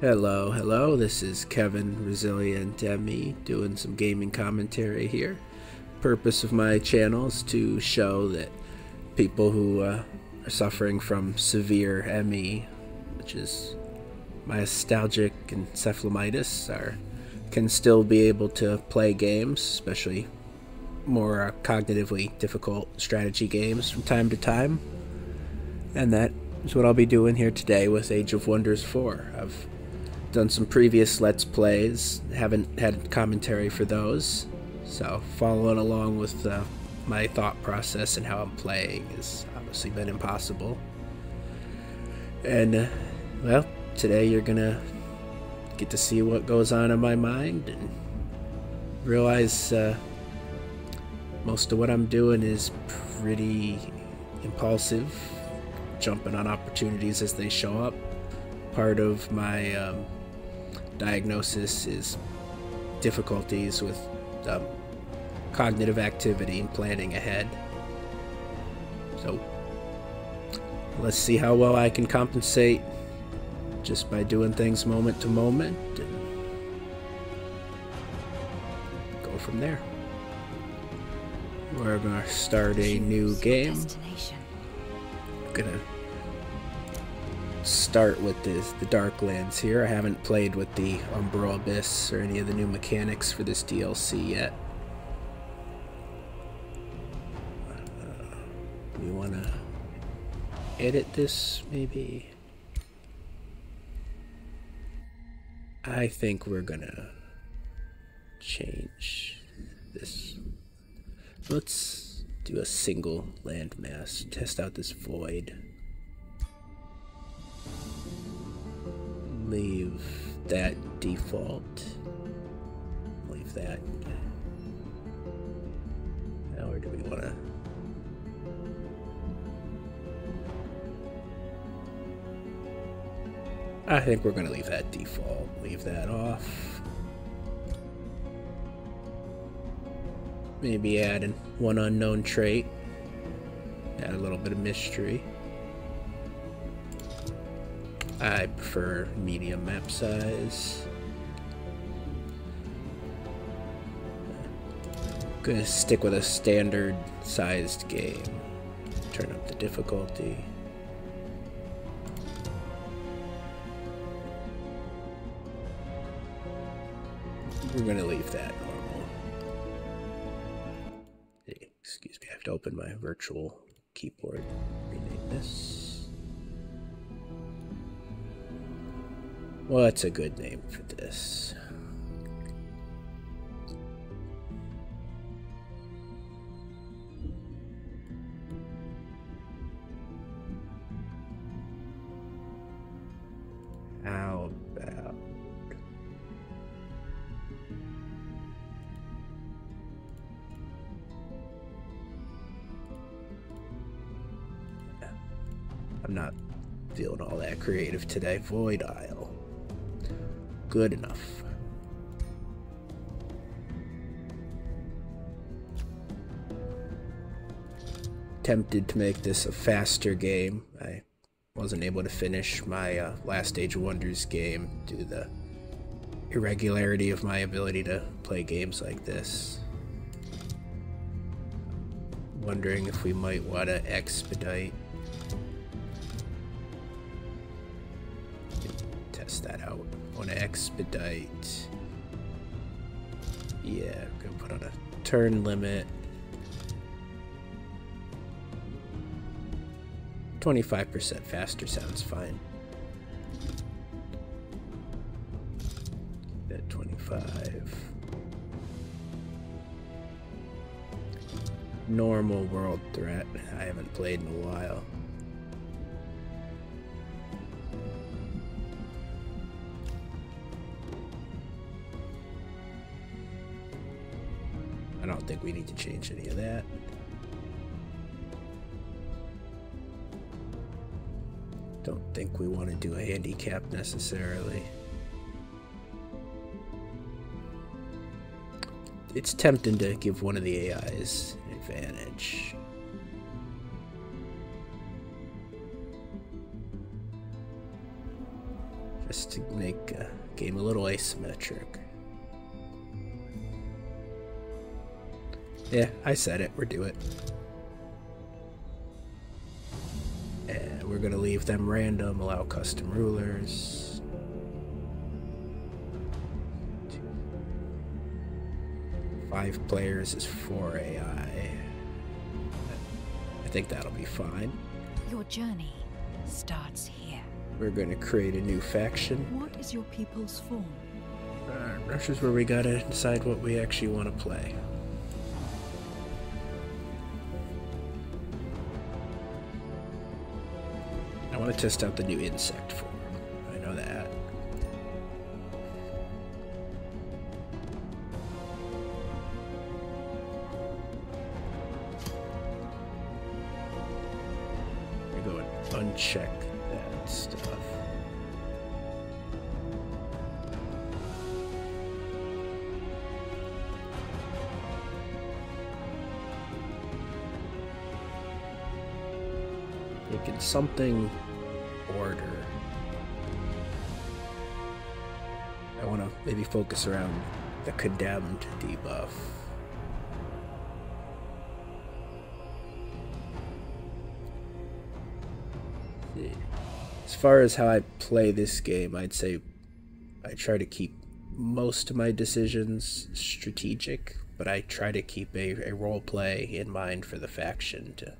Hello, hello, this is Kevin Resilient Emmy, doing some gaming commentary here. Purpose of my channel is to show that people who uh, are suffering from severe ME, which is my myastalgic encephalitis, are, can still be able to play games, especially more uh, cognitively difficult strategy games from time to time. And that is what I'll be doing here today with Age of Wonders 4. I've done some previous Let's Plays, haven't had commentary for those, so following along with uh, my thought process and how I'm playing has obviously been impossible. And, uh, well, today you're gonna get to see what goes on in my mind and realize uh, most of what I'm doing is pretty impulsive, jumping on opportunities as they show up. Part of my um, diagnosis is difficulties with um, cognitive activity and planning ahead. So let's see how well I can compensate just by doing things moment to moment go from there. We're gonna start a new game. I'm gonna start with the the Darklands here. I haven't played with the Umbra Abyss or any of the new mechanics for this DLC yet. Uh, we wanna edit this, maybe? I think we're gonna change this. Let's do a single landmass, test out this void. Leave that default. Leave that. Now, or do we wanna I think we're going to leave that default, leave that off. Maybe add in one unknown trait, add a little bit of mystery. I prefer medium map size. I'm gonna stick with a standard sized game. Turn up the difficulty. We're gonna leave that normal. Excuse me, I have to open my virtual keyboard. Rename this. What's a good name for this? sound. How about I'm not feeling all that creative today. Void Isle. Good enough. Tempted to make this a faster game. I wasn't able to finish my uh, Last Age of Wonders game due to the irregularity of my ability to play games like this wondering if we might want to expedite. Test that out. Want to expedite. Yeah, going to put on a turn limit. 25% faster sounds fine. At 25. Normal World Threat. I haven't played in a while. I don't think we need to change any of that. Don't think we want to do a handicap necessarily. It's tempting to give one of the AIs an advantage. Just to make the uh, game a little asymmetric. Yeah, I said it. We're do it. And we're gonna leave them random, allow custom rulers. Five players is four AI. I think that'll be fine. Your journey starts here. We're gonna create a new faction. What is your people's form? Uh, Russia's where we gotta decide what we actually want to play. I want to test out the new insect form. I know that. We go and uncheck that stuff. You can something order. I want to maybe focus around the condemned debuff. As far as how I play this game, I'd say I try to keep most of my decisions strategic, but I try to keep a, role play in mind for the faction to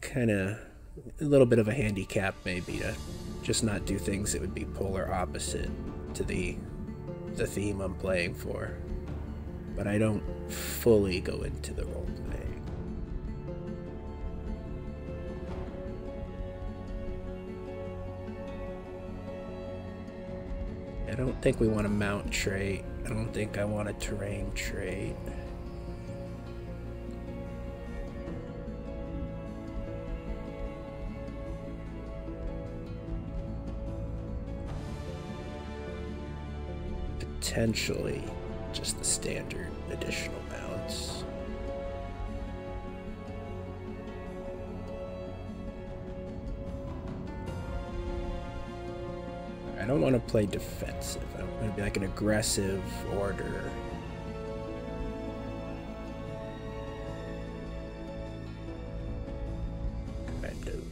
kind of a little bit of a handicap maybe to just not do things that would be polar opposite to the the theme I'm playing for. But I don't fully go into the role play. I don't think we want a mount trait. I don't think I want a terrain trait. potentially just the standard additional. I don't want to play defensive. I want to be like an aggressive order. Kind of.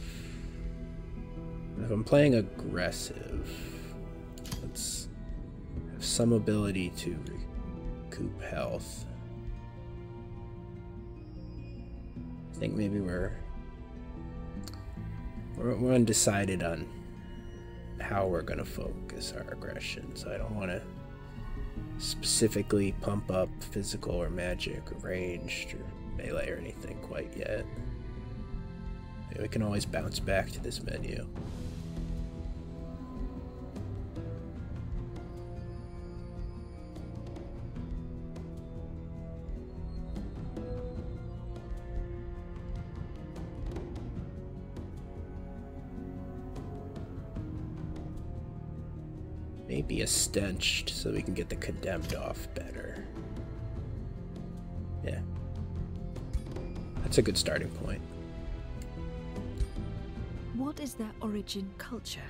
If I'm playing aggressive, Let's have some ability to recoup health. I think maybe we're we're, undecided on how we're gonna focus our aggression. So I don't want to specifically pump up physical or magic or ranged or melee or anything quite yet. We can always bounce back to this menu. Maybe a stench so we can get the condemned off better. Yeah. That's a good starting point. What is their origin culture?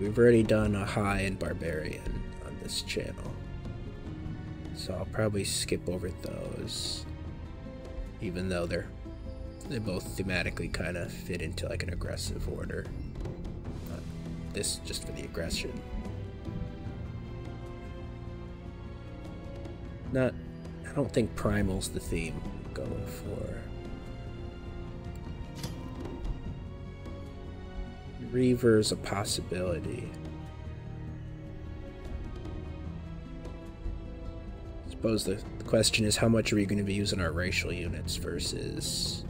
We've already done a high and barbarian on this channel. So I'll probably skip over those. Even though they're they both thematically kind of fit into like an aggressive order. this just for the aggression. Not, I don't think primal's the theme i going for. Reaver's a possibility. suppose the, question is how much are we going to be using our racial units versus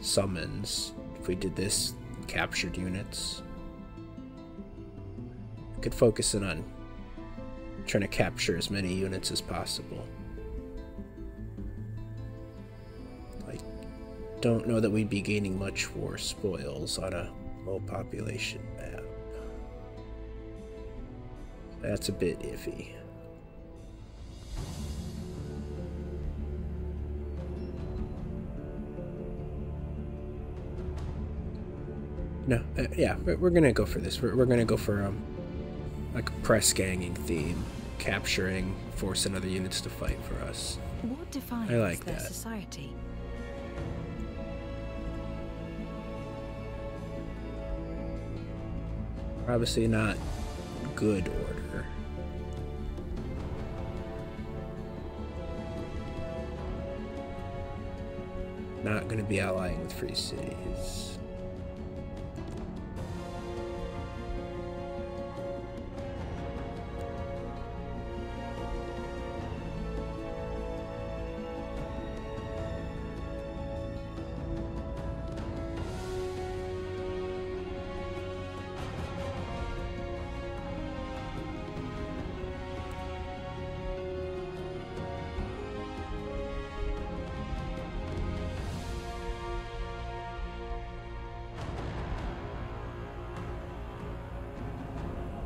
summons. If we did this, captured units. could focus in on trying to capture as many units as possible. I don't know that we'd be gaining much war spoils on a low population map. That's a bit iffy. No, uh, yeah, we're gonna go for this. We're, we're gonna go for um, like a press ganging theme, capturing, forcing other units to fight for us. What defines I like their that. society? Obviously not good order. Not going to be allying with free cities.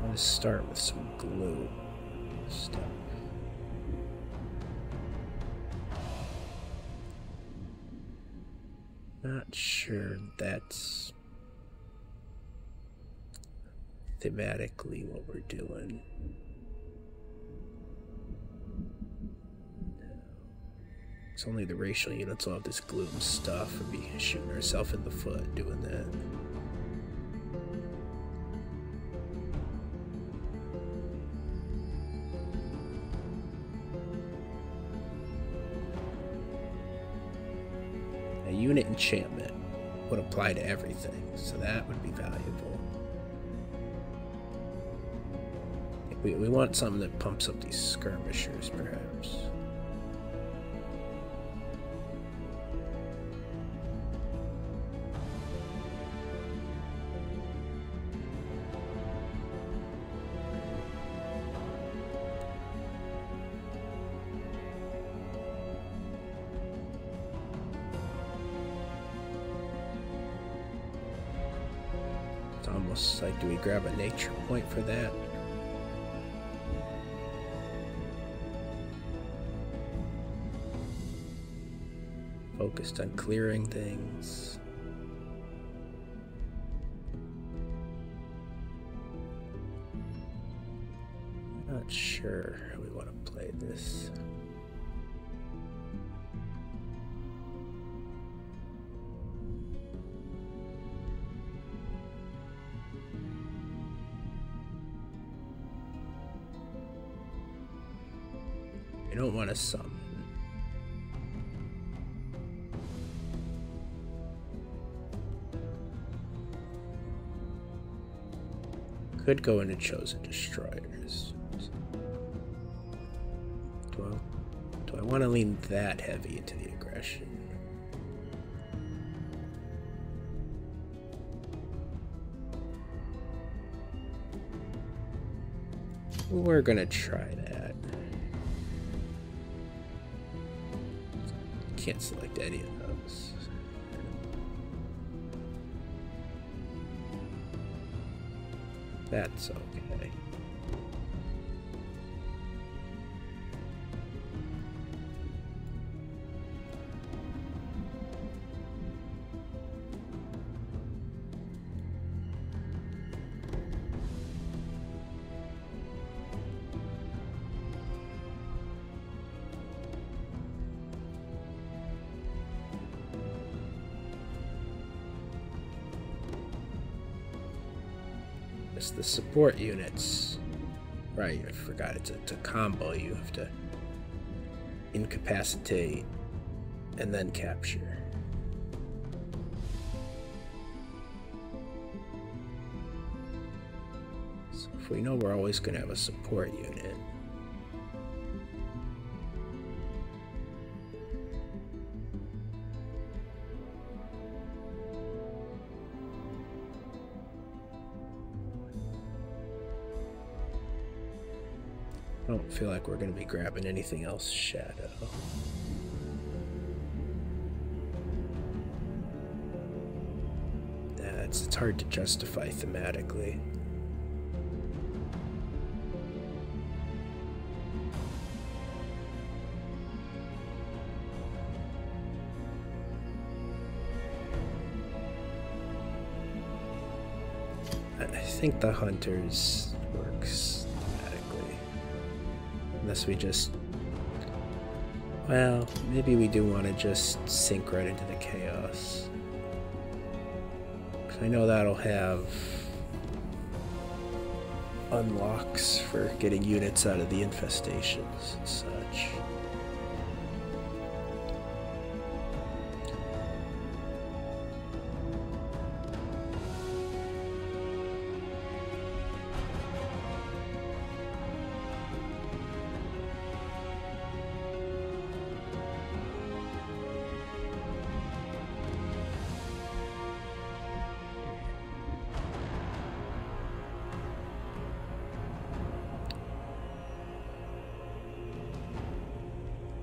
I'm gonna start with some glue not sure that's thematically what we're doing. It's only the racial units all have this gloom stuff and be shooting herself in the foot doing that. A unit enchantment would apply to everything, so that would be valuable. We, we want something that pumps up these skirmishers, perhaps. It's almost like do we grab a nature point for that? Focused on clearing things. Not sure how we want to play this. You don't want to sum. Could go into Chosen Destroyers. Do do I want to lean that heavy into the aggression? We're gonna try that. Can't select any of those. That's okay. It's the support units. Right, You forgot. It's a, it's a combo. You have to incapacitate and then capture if we know we're always going to have a support unit, I don't feel like we're going to be grabbing anything else that's it's hard to justify thematically. I think the hunters works thematically. Unless we just... Well, maybe we do want to just sink right into the chaos. I know that'll have unlocks for getting units out of the infestations such.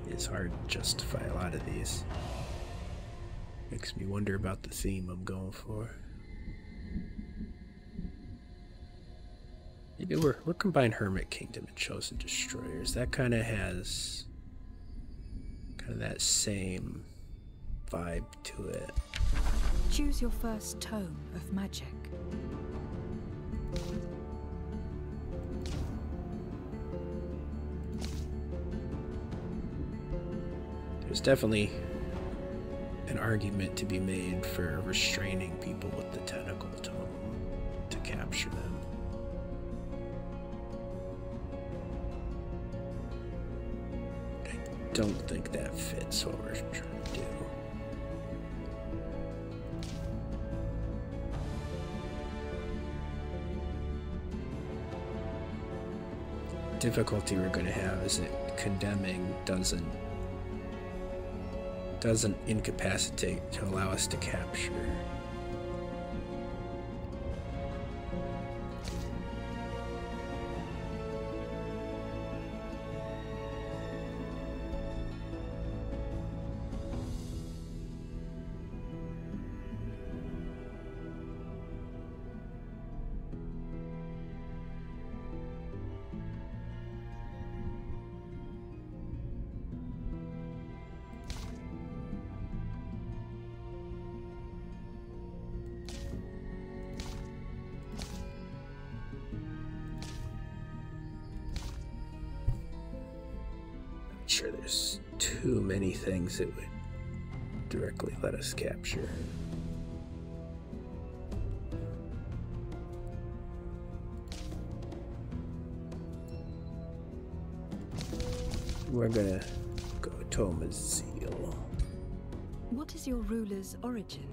It's hard to justify a lot of these. Makes me wonder about the theme I'm going for. Maybe we're we're combined Hermit Kingdom and Chosen Destroyers. That kind of has kind of that same vibe to it. Choose your first tome of magic. There's definitely an argument to be made for restraining people with the tentacle to capture them. I don't think that fits what we're trying to do difficulty we're going to have is that condemning doesn't doesn't incapacitate to allow us to capture sure there's too many things that would directly let us capture. We're gonna go Toma's What is your ruler's origin?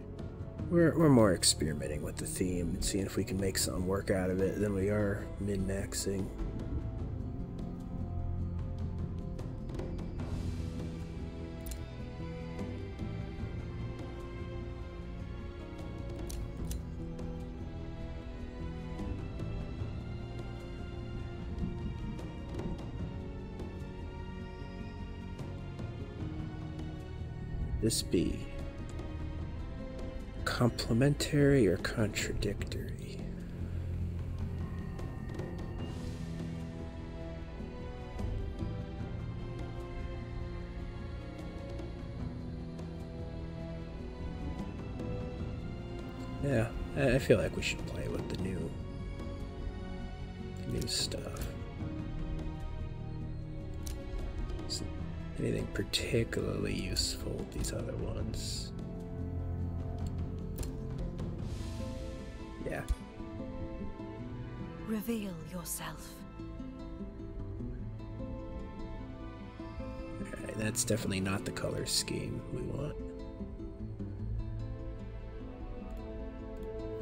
We're, we're more experimenting with the theme and seeing if we can make something work out of it Then we are mid maxing this be? Complementary or contradictory? Yeah, I feel like we should play with the new, new stuff. anything particularly useful with these other ones? Yeah. Reveal yourself. that's definitely not the color scheme we want.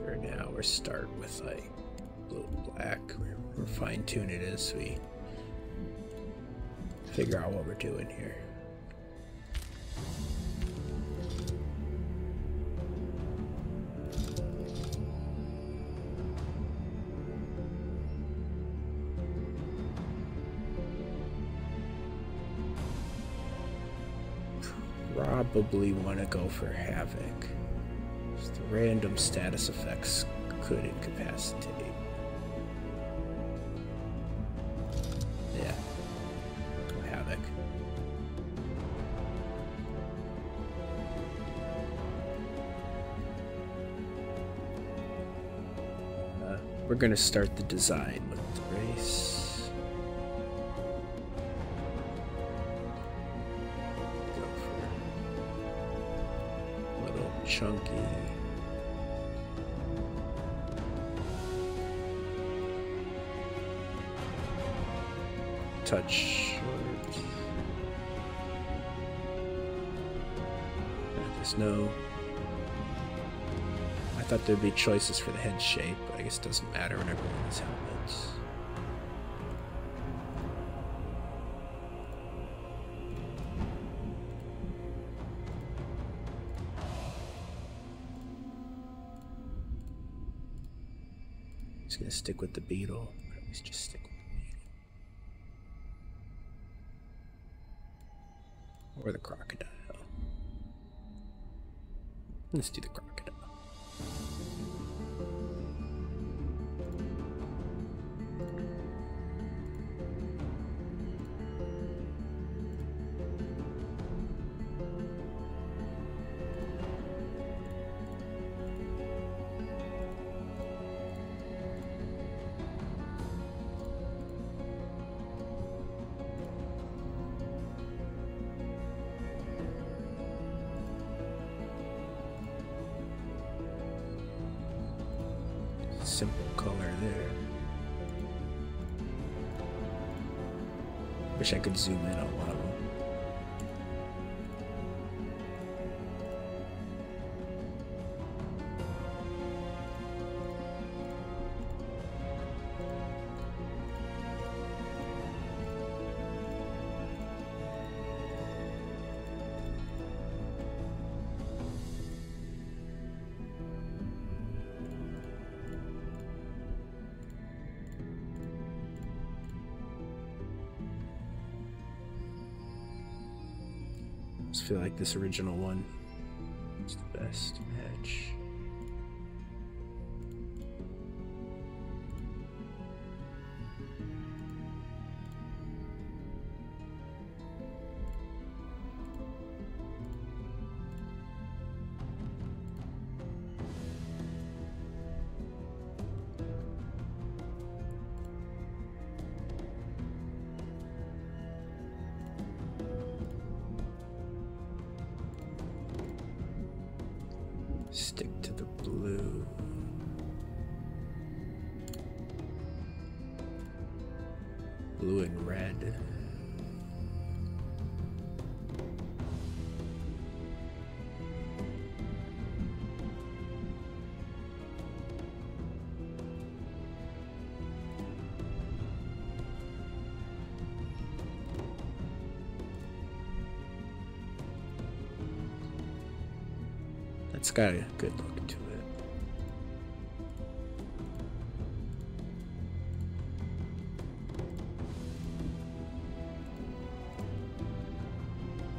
For now, we're we start with like blue and black. We're, fine tuning it as we figure out what we're doing here probably want to go for Havoc. Just the random status effects could incapacitate. Yeah. Havoc. Uh, we're going to start the design with the race. little chunky touch. There's no... I thought there'd be choices for the head shape, but I guess it doesn't matter when everyone has helmets. He's gonna stick with the beetle. Or at just stick with beetle. Or the crocodile. Let's do the crocodile simple color there. Wish I could zoom in on one of them. I just feel like this original one is the best match. Stick to the blue. Blue and red. That's got a good look to it.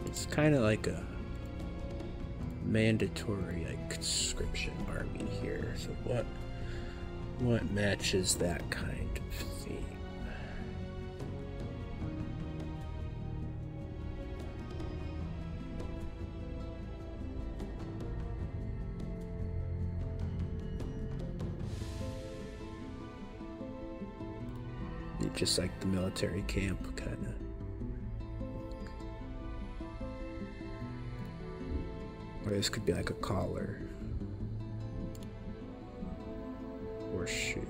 It's kind of like a mandatory conscription army here. So what what matches that kind of theme? Just like the military camp, kind of. Or this could be like a collar. Or shoe.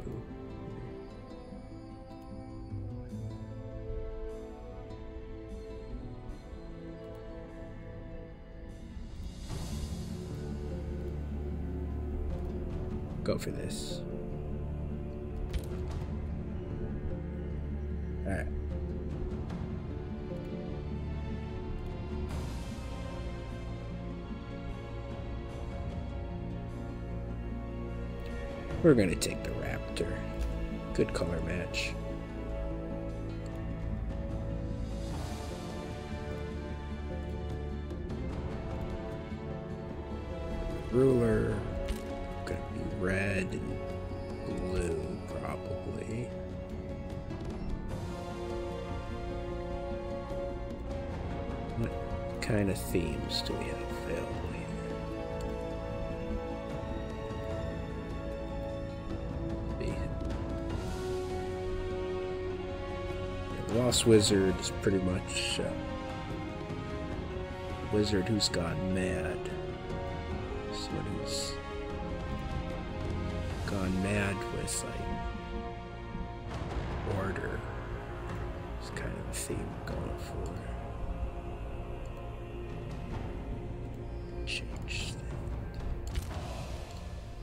Go for this. Alright. We're going to take the Raptor. Good color match. Ruler. Gonna be red and blue, probably. What kind of themes do we have available? here? The Lost Wizard is pretty much a uh, wizard who's gone mad. Someone who's gone mad with like order. It's kind of the theme going for. Change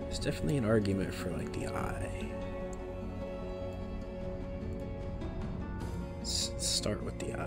There's definitely an argument for like the eye. start with the eye.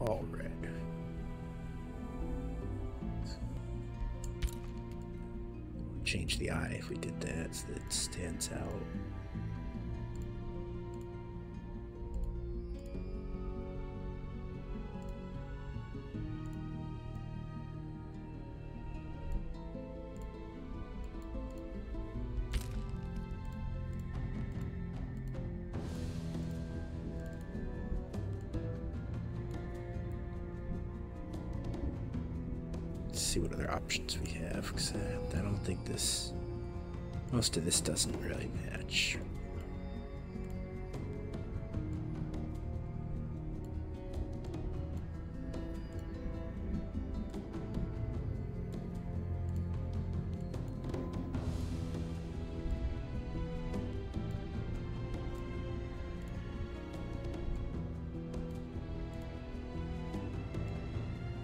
All red. Change the eye if we did that so that it stands out see what other options we have, because I don't think this... Most of this doesn't really match.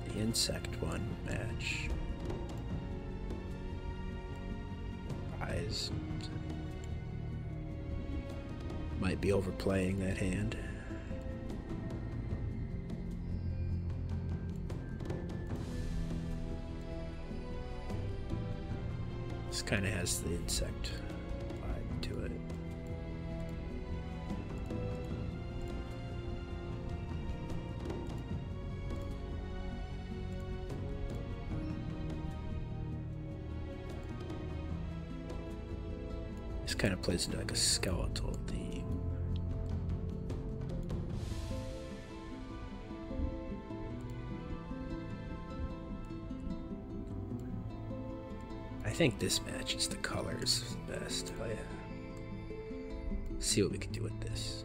The insect one match. Eyes. Might be overplaying that hand. This kind of has the insect vibe to it plays into like a skeletal theme. I think this matches the colors best. Oh, yeah. See what we can do with this.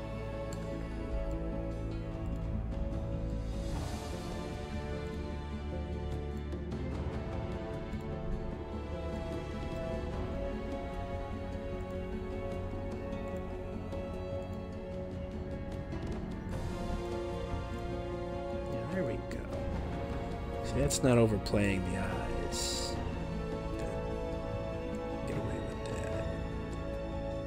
there we go. See, That's not overplaying the eyes. Get away with that.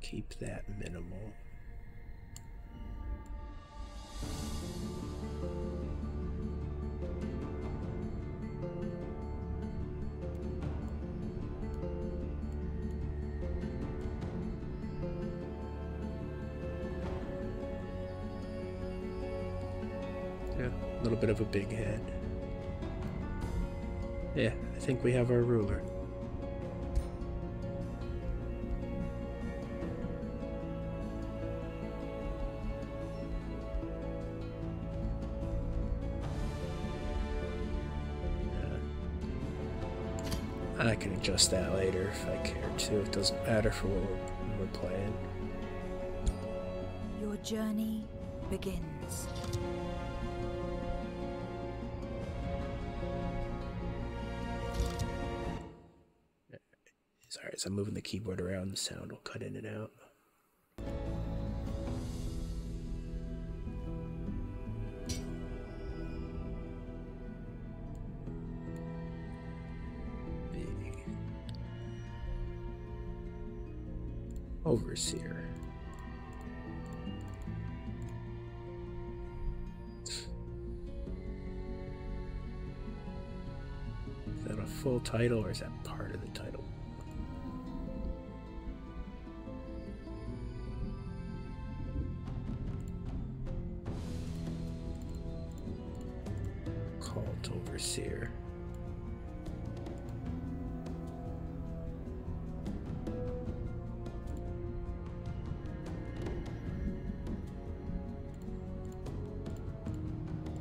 Keep that minimal. Yeah, a little bit of a big head. Yeah, I think we have our ruler. Uh, I can adjust that later if I care to. It doesn't matter for what we're, playing. Your journey begins. Sorry, as I'm moving the keyboard around, the sound will cut in and out overseer. Is that a full title or is that part of the title? Cult Overseer.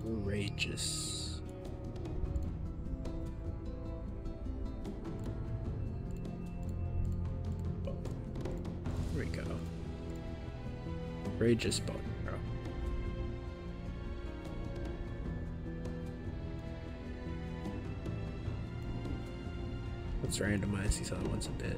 Courageous. Here we go. Rageous bone arrow. Let's randomize these other ones a bit.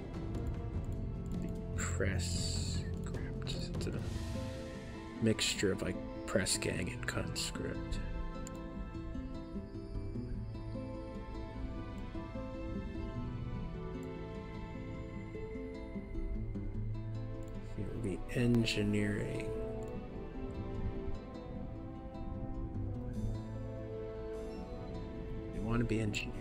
press It's a mixture of like press gang and conscript. be engineering. You want to be engineering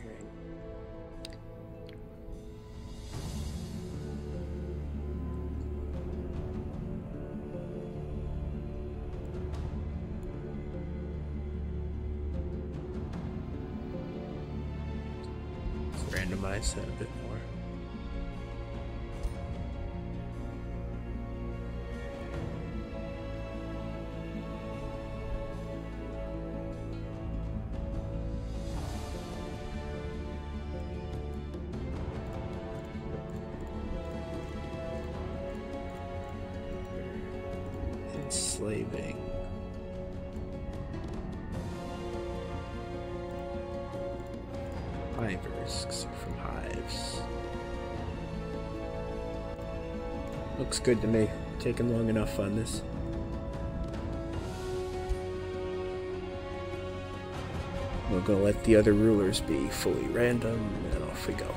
randomize that a bit more enslaving. Hivers, from hives. Looks good to me. Taken long enough on this. We're gonna let the other rulers be fully random, and off we go.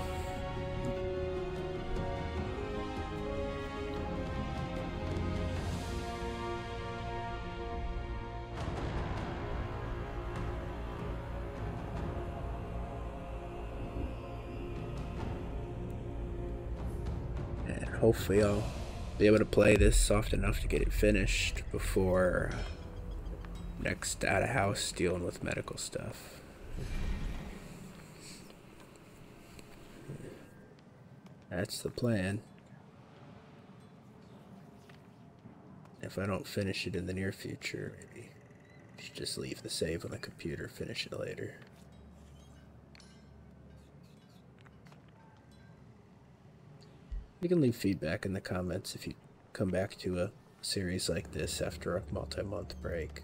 And hopefully I'll be able to play this soft enough to get it finished before uh, next out of house dealing with medical stuff. That's the plan. If I don't finish it in the near future, maybe just leave the save on the computer, finish it later. You can leave feedback in the comments if you come back to a series like this after a multi-month break.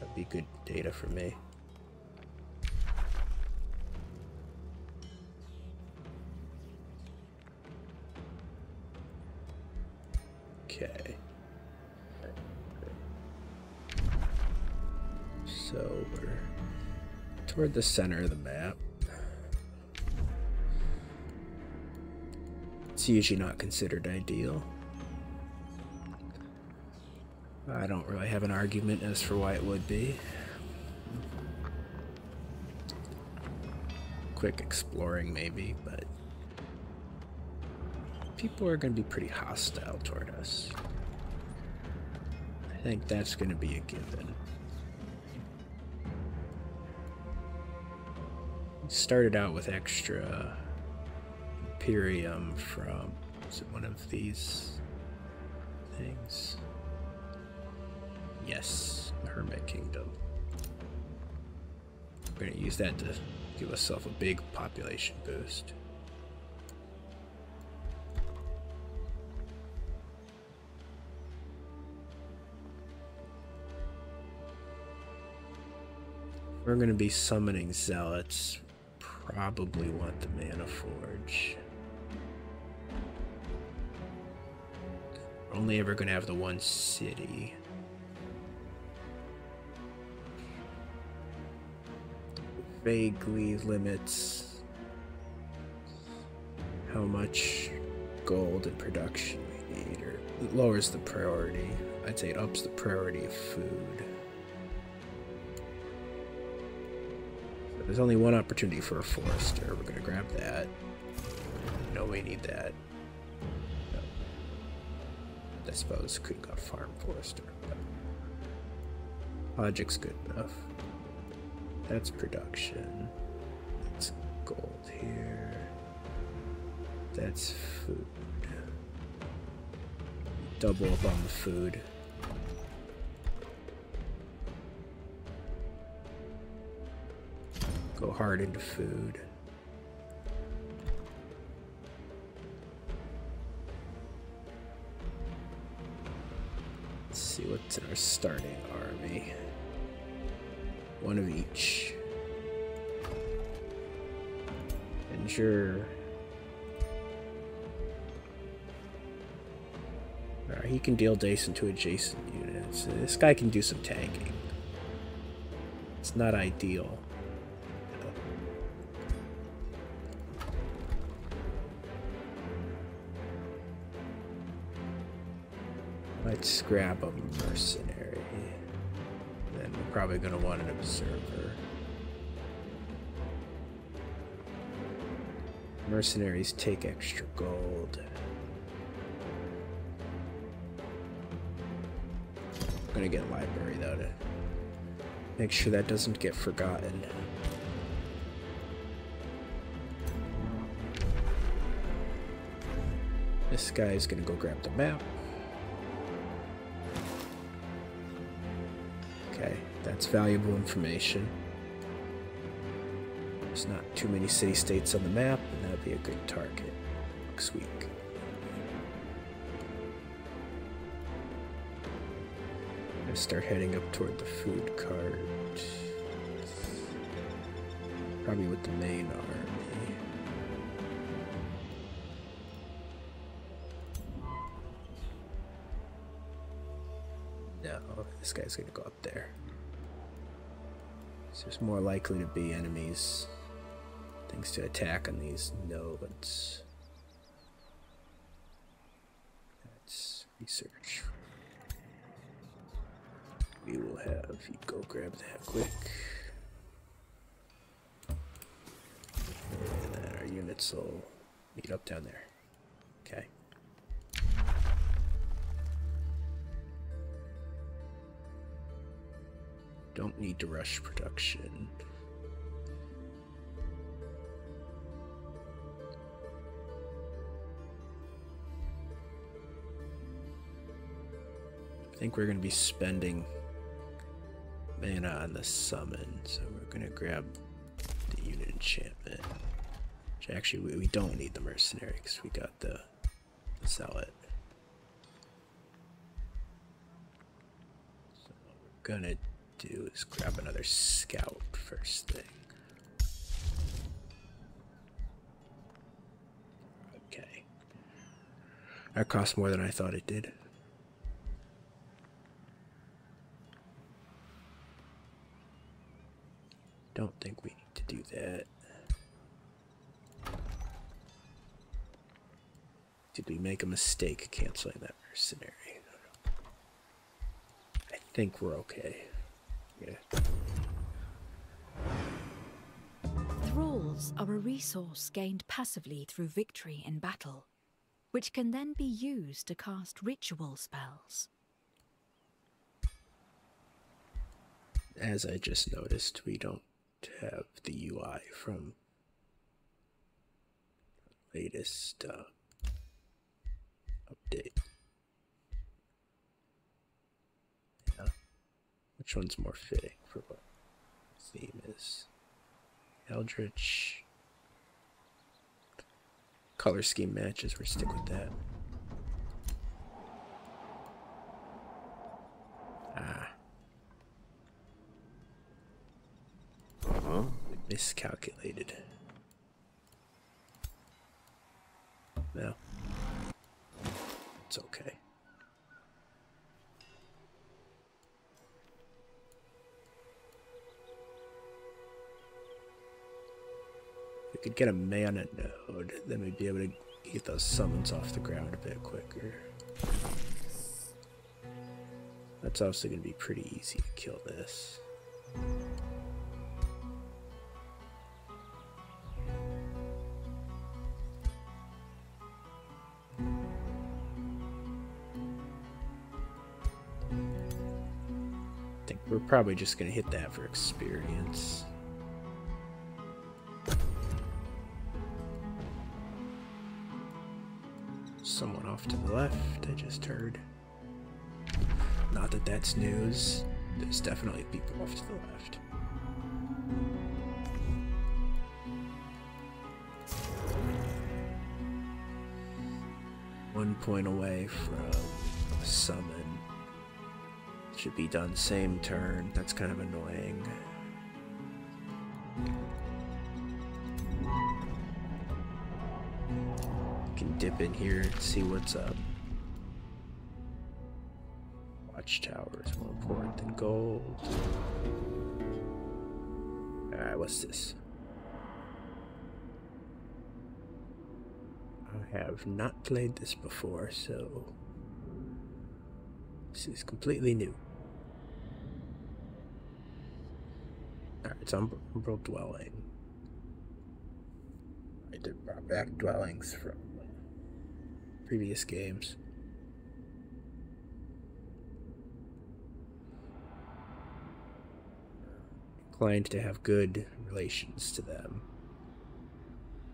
That'd be good data for me. Okay. So toward the center of the map. It's usually not considered ideal. I don't really have an argument as for why it would be. Quick exploring maybe, but people are going to be pretty hostile toward us. I think that's going to be a given. Started out with extra Imperium from one of these things. Yes, Hermit Kingdom. We're going to use that to give ourselves a big population boost. We're going to be summoning zealots. Probably want the mana forge. We're only ever going to have the one city vaguely limits how much gold and production we need, or it lowers the priority. I'd say it ups the priority of food. there's only one opportunity for a forester. We're gonna grab that. No, we need that. I suppose could go farm forester, but logic's good enough. That's production. That's gold here. That's food. Double up on the food. Go hard into food. Let's see what's in our starting army. One of each. Avenger. Right, he can deal decent to adjacent units. This guy can do some tanking. It's not ideal. Let's grab a mercenary. Then we're probably going to want an observer. Mercenaries take extra gold. I'm gonna get library though Make sure that doesn't get forgotten. This guy's going to go grab the map. Okay, that's valuable information. There's not too many city-states on the map, and that would be a good target next week. I start heading up toward the food cart. Probably with the main army. No, this guy's gonna go up there. there's more likely to be enemies, things to attack on these nodes. That's research. We will have you go grab that quick. And then our units will meet up down there. Okay. Don't need to rush production. I think we're going to be spending mana on the summon, so we're going to grab the unit enchantment. actually, we, don't need the mercenary because we got the, the salad. So what we're gonna do is grab another scout first thing. Okay. That cost more than I thought it did. Don't think we need to do that. Did we make a mistake canceling that mercenary? I think we're okay. Yeah. Thralls are a resource gained passively through victory in battle, which can then be used to cast ritual spells. As I just noticed, we don't have the UI from latest uh, update. Yeah. Which one's more fitting for what the theme is? Eldritch. Color scheme matches, we're stick with that. Ah uh Miscalculated. No. It's okay. we could get a mana node, then we'd be able to get those summons off the ground a bit quicker. That's also going to be pretty easy to kill this. I think we're probably just going to hit that for experience. Someone off to the left, I just heard. Not that that's news. There's definitely people off to the left. One point away from summon. Should be done same turn. That's kind of annoying. Can dip in here and see what's up. Watchtower is more important than gold. Alright, what's this? I have not played this before, so this is completely new. Alright, so Umbral Dwelling. I did brought back dwellings from previous games. Inclined to have good relations to them.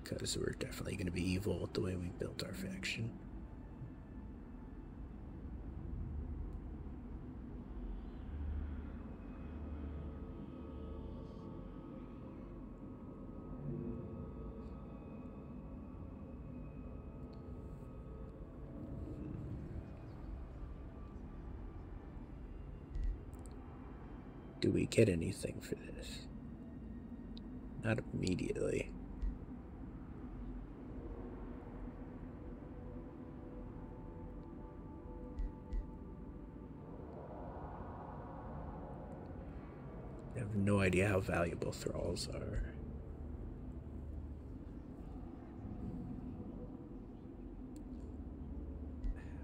Because we're definitely going to be evil the way we built our faction. Do we get anything for this? Not immediately. I have no idea how valuable thralls are.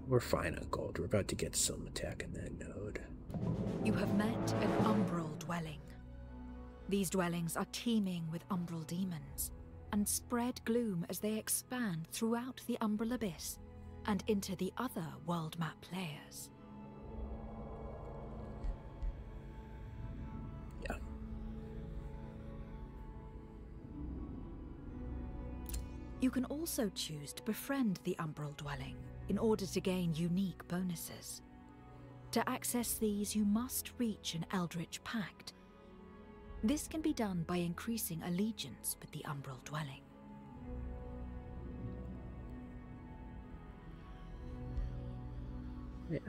We're fine Uncle. We're about to get some attack in that node. You have met an umbral dwelling. These dwellings are teeming with umbral demons, and spread gloom as they expand throughout the Umbrel Abyss and into the other world map players. Yeah. You can also choose to befriend the Umbrel Dwelling in order to gain unique bonuses. To access these, you must reach an Eldritch Pact this can be done by increasing allegiance with the Umbral Dwelling. Yeah.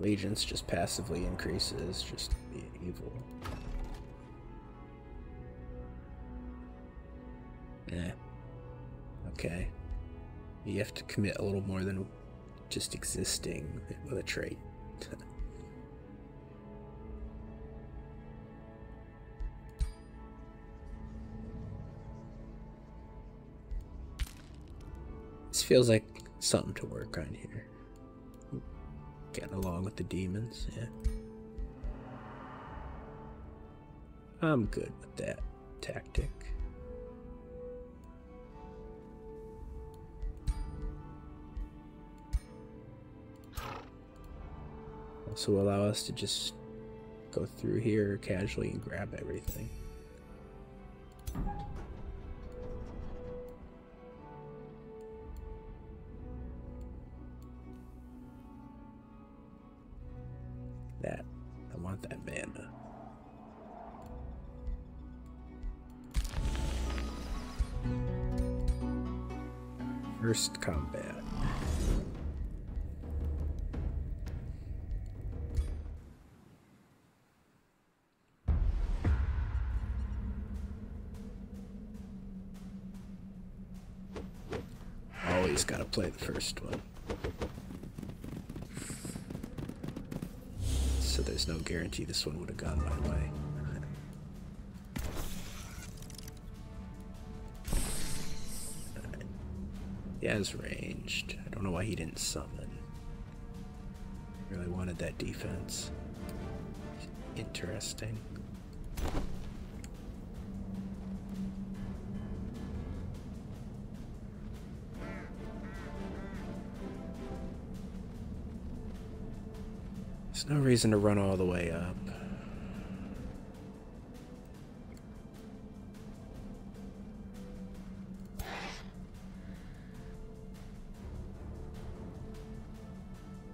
Allegiance just passively increases just being evil. Eh. Okay. You have to commit a little more than just existing with a trait. this feels like something to work on here. Getting along with the demons, yeah. I'm good with that tactic. Also allow us to just go through here casually and grab everything. That. I want that banana. First combat. Always gotta play the first one. So there's no guarantee this one would have gone my way. Yeah, has ranged. I don't know why he didn't summon. Really wanted that defense. Interesting. There's no reason to run all the way up.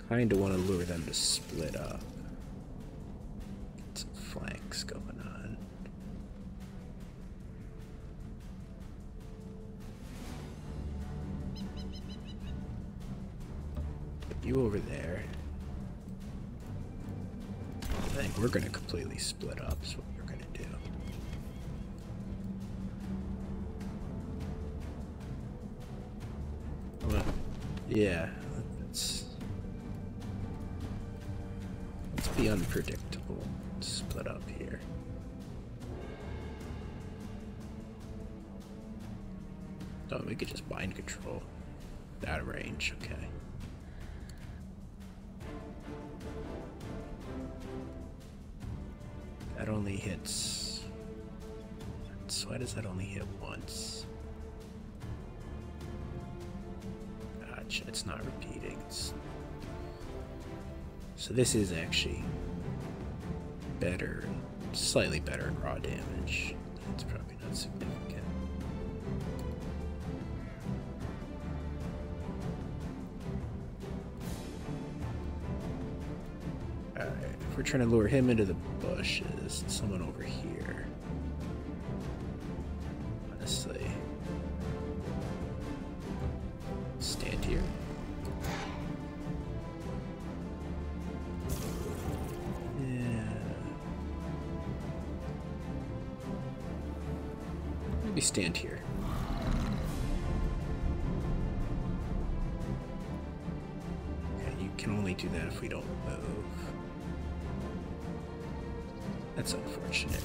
Kinda want to lure them to split up. Get some flanks going on. You over there. I think we're gonna completely split up, is what we're gonna do. Well, yeah, let's, let's be unpredictable. Split up here. Oh, we could just bind control. That range, okay. That only hits... So why does that only hit once? Gotcha, it's not repeating. So this is actually better, slightly better in raw damage. That's probably not significant. Alright, we're trying to lure him into the bushes, someone over here. Honestly. Stand here. Yeah. Maybe stand here. you can only do that if we don't move. That's unfortunate.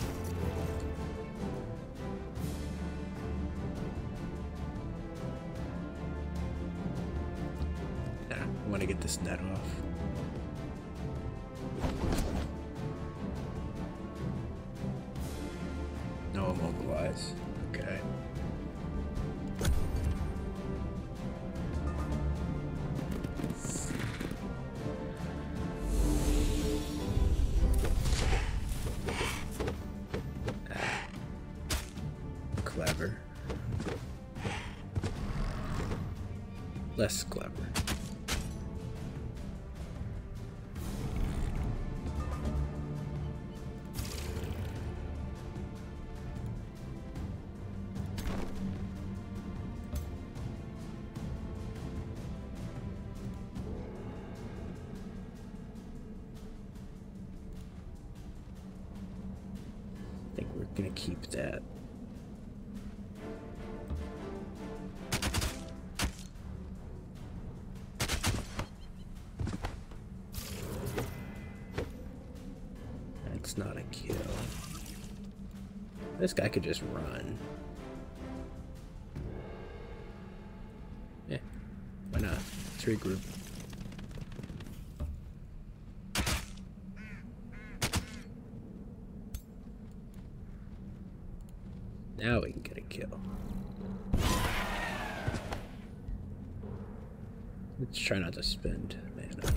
Nah, I want to get this net off. No immobilize. Okay. Ah. Clever. Less clever. I think we're going to keep that. That's not a kill. This guy could just run. Yeah, why not? Let's regroup. Now we can get a kill. Let's try not to spend mana.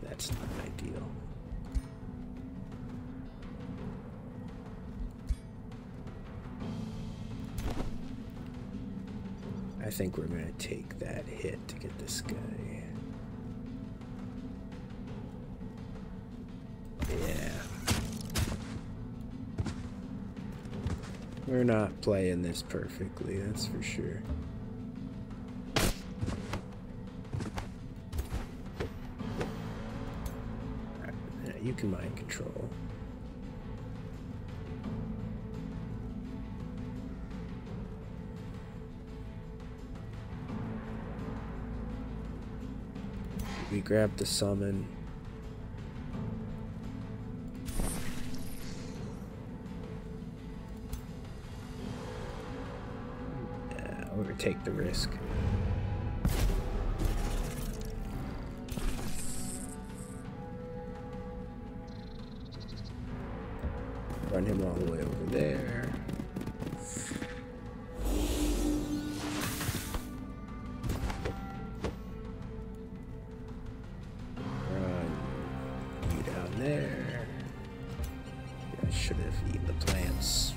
That's not ideal. I think we're going to take that hit to get this guy. Yeah. We're not playing this perfectly, that's for sure you can mind control. We grab the summon the risk. Run him all the way over there. Run down there. I should have eaten the plants.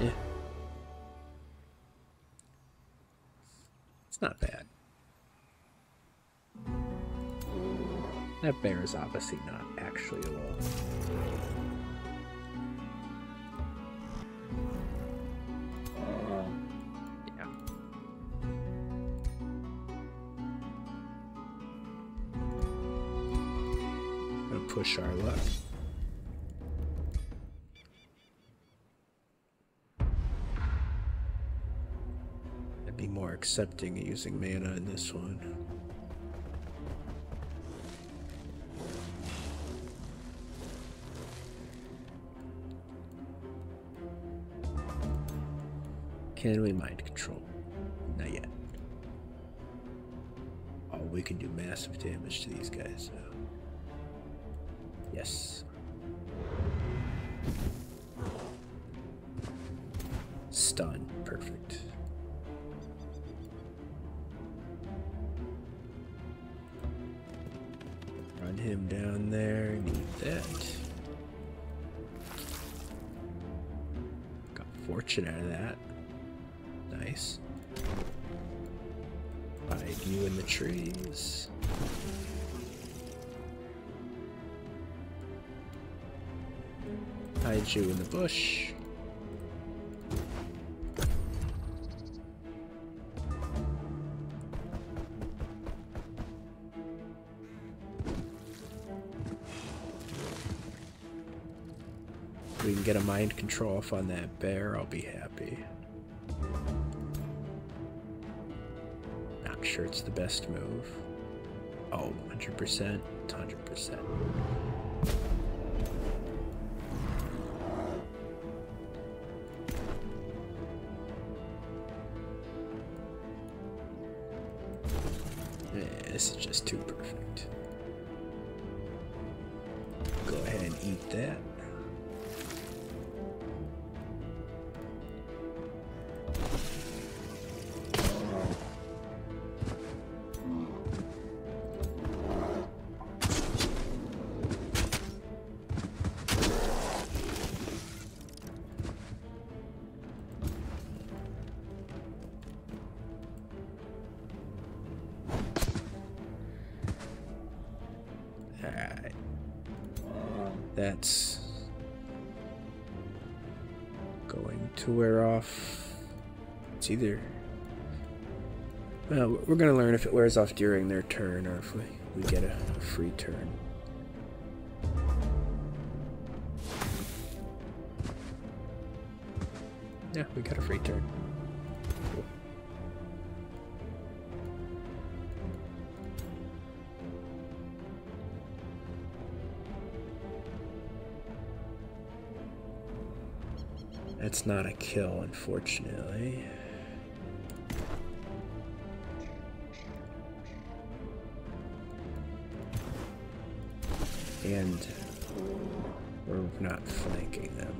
Yeah. It's not bad. That bear is obviously not actually a wolf. Oh. Yeah. Gonna push our luck. I'd be more accepting of using mana in this one. Can we mind control? Not yet. Oh, we can do massive damage to these guys Yes. Stun. Perfect. Run him down there. Need that. Got fortune out of that. Nice. Hide you in the trees. Hide you in the bush we can get a mind control off on that bear, I'll be happy. Not sure it's the best move. Oh, 100%, 100% this is just too perfect. Go ahead and eat that. Alright. That's going to wear off. It's either. Well, we're going to learn if it wears off during their turn or if we, get a free turn. Yeah, we got a free turn. That's not a kill, unfortunately. And we're not flanking them.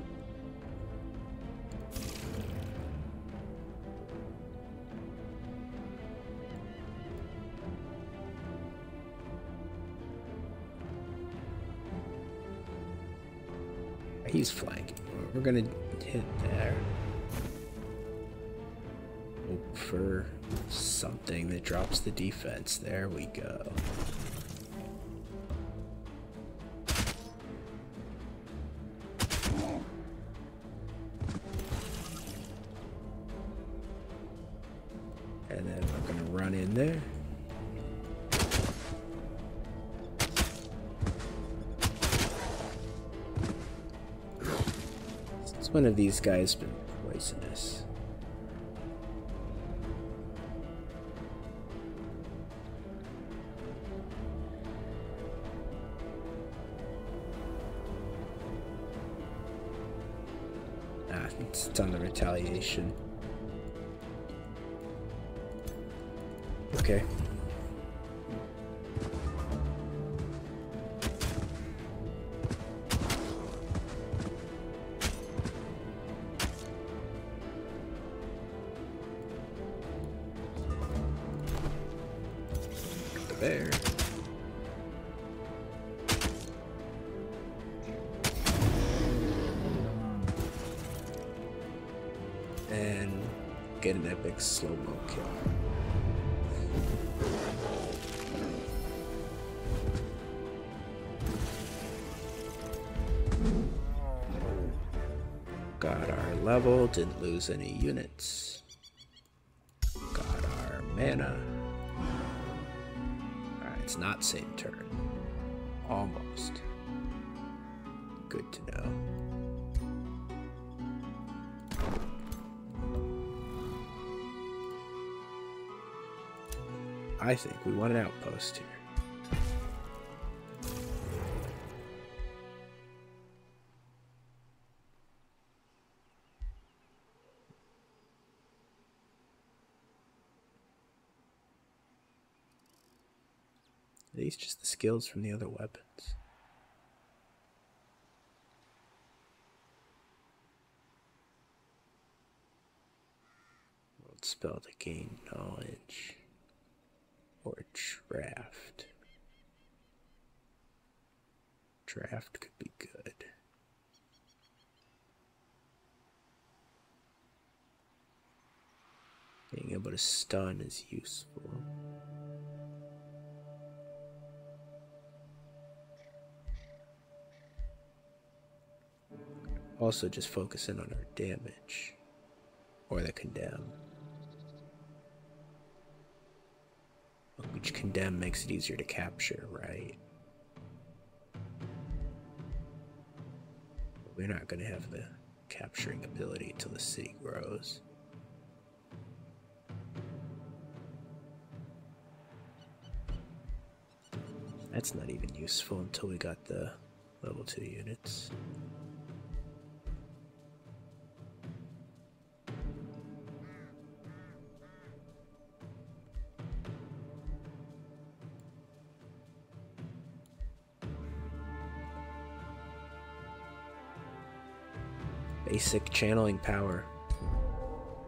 He's flanking. We're gonna hit there. Look for something that drops the defense. There we go. And then I'm going to run in there. It's one of these guys been poisonous. Ah, it's on the retaliation. Okay. There. And get an epic slow-mo kill. Got our level, didn't lose any units. Got our mana. Alright, it's not same turn. Almost. Good to know. I think we want an outpost here. Are these just the skills from the other weapons? World spell to gain knowledge or draft. Draft could be good. Being able to stun is useful. Also, just focus in on our damage or the condemn. Which condemn makes it easier to capture, right? We're not going to have the capturing ability until the city grows. That's not even useful until we got the level 2 units. Basic channeling power.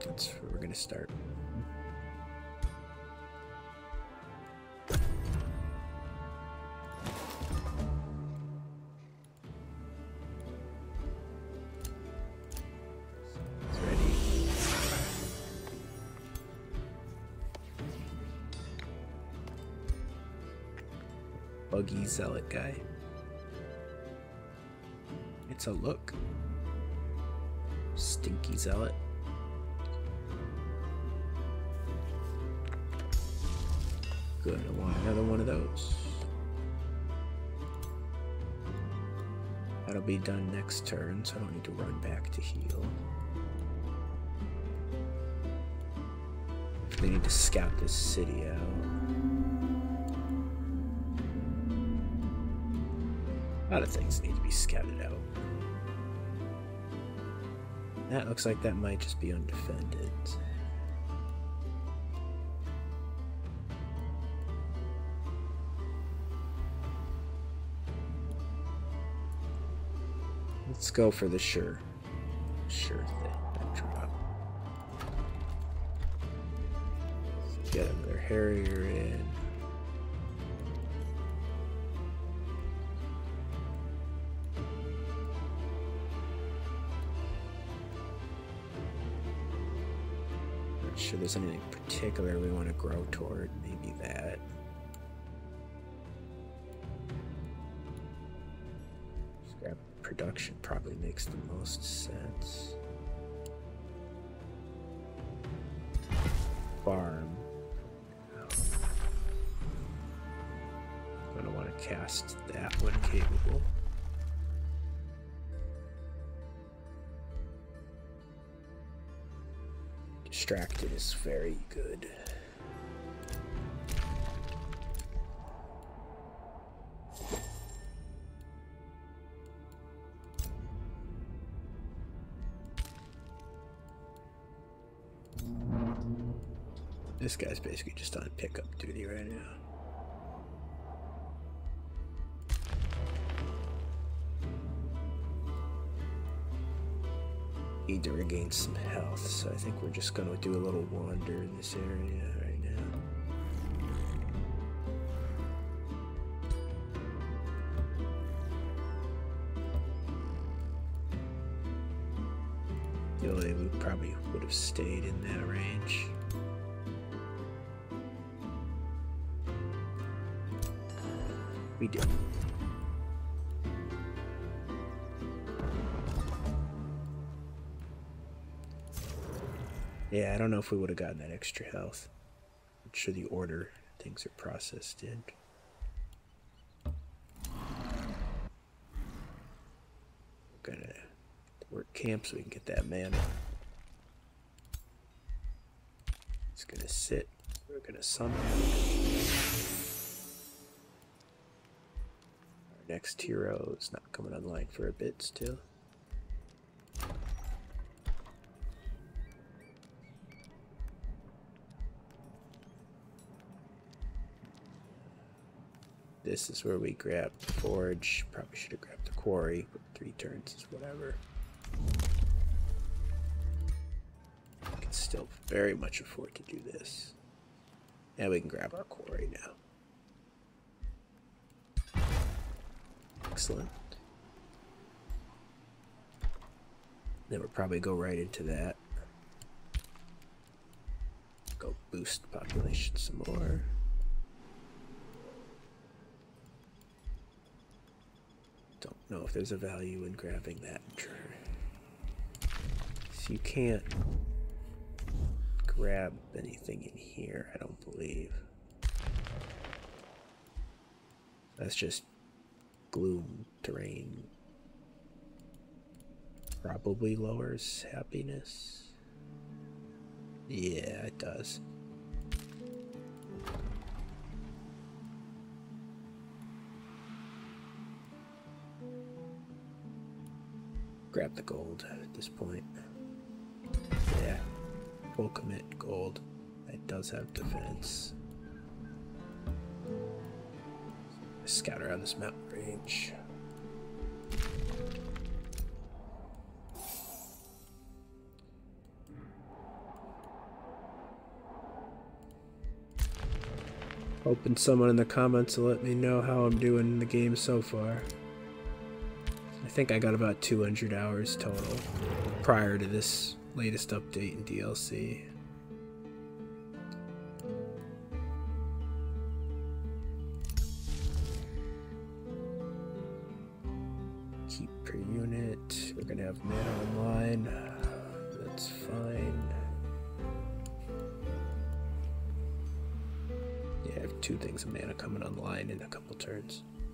That's where we're gonna start. buggy zealot guy. It's a look. Stinky zealot. Good, I want another one of those. That'll be done next turn, so I don't need to run back to heal. They need to scout this city out. A lot of things need to be scouted out. That looks like that might just be undefended. Let's go for the sure. Sure thing. Backdrop get them their Harrier in. Not sure there's anything particular we want to grow toward. Maybe that. production probably makes the most sense. Farm. I'm going to want to cast that one. capable. Distracted is very good. This guy's basically just on pickup duty right now. Need to regain some health, so I think we're just going to do a little wander in this area right now. You know, probably would have stayed in that range. We did. Yeah, I don't know if we would have gotten that extra health sure the order things are processed in. We're gonna work camp so we can get that man. It's gonna sit. We're gonna summon. Our next hero is not coming online for a bit still. This is where we grab the forge. Probably should have grabbed the quarry, but three turns is whatever. can still very much afford to do this. And we can grab our quarry now. Excellent. Then we'll probably go right into that. Go boost population some more. Don't know if there's a value in grabbing that. So you can't grab anything in here, I don't believe. That's just gloom terrain. Probably lowers happiness. Yeah, it does. Grab the gold at this point. Yeah. Full gold. It does have defense. Scout around this mountain range. Hoping someone in the comments will let me know how I'm doing in the game so far. I think I got about 200 hours total prior to this latest update in DLC. Keep per unit. We're gonna have mana online. That's fine. Yeah, I have two things of mana coming online in a couple turns.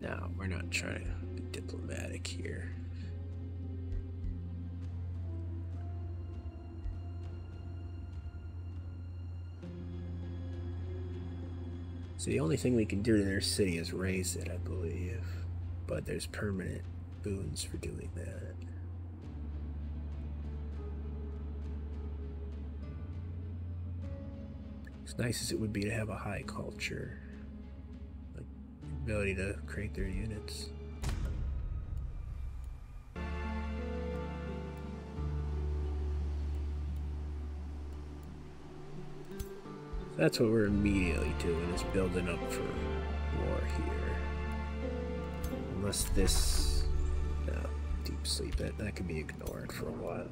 No, we're not trying to be diplomatic here. So the only thing we can do to their city is raise it, I believe. But there's permanent boons for doing that. As nice as it would be to have a high culture, like ability to create their units. That's what we're immediately doing, is building up for war here. Unless this... deep sleep, that, that could be for a while.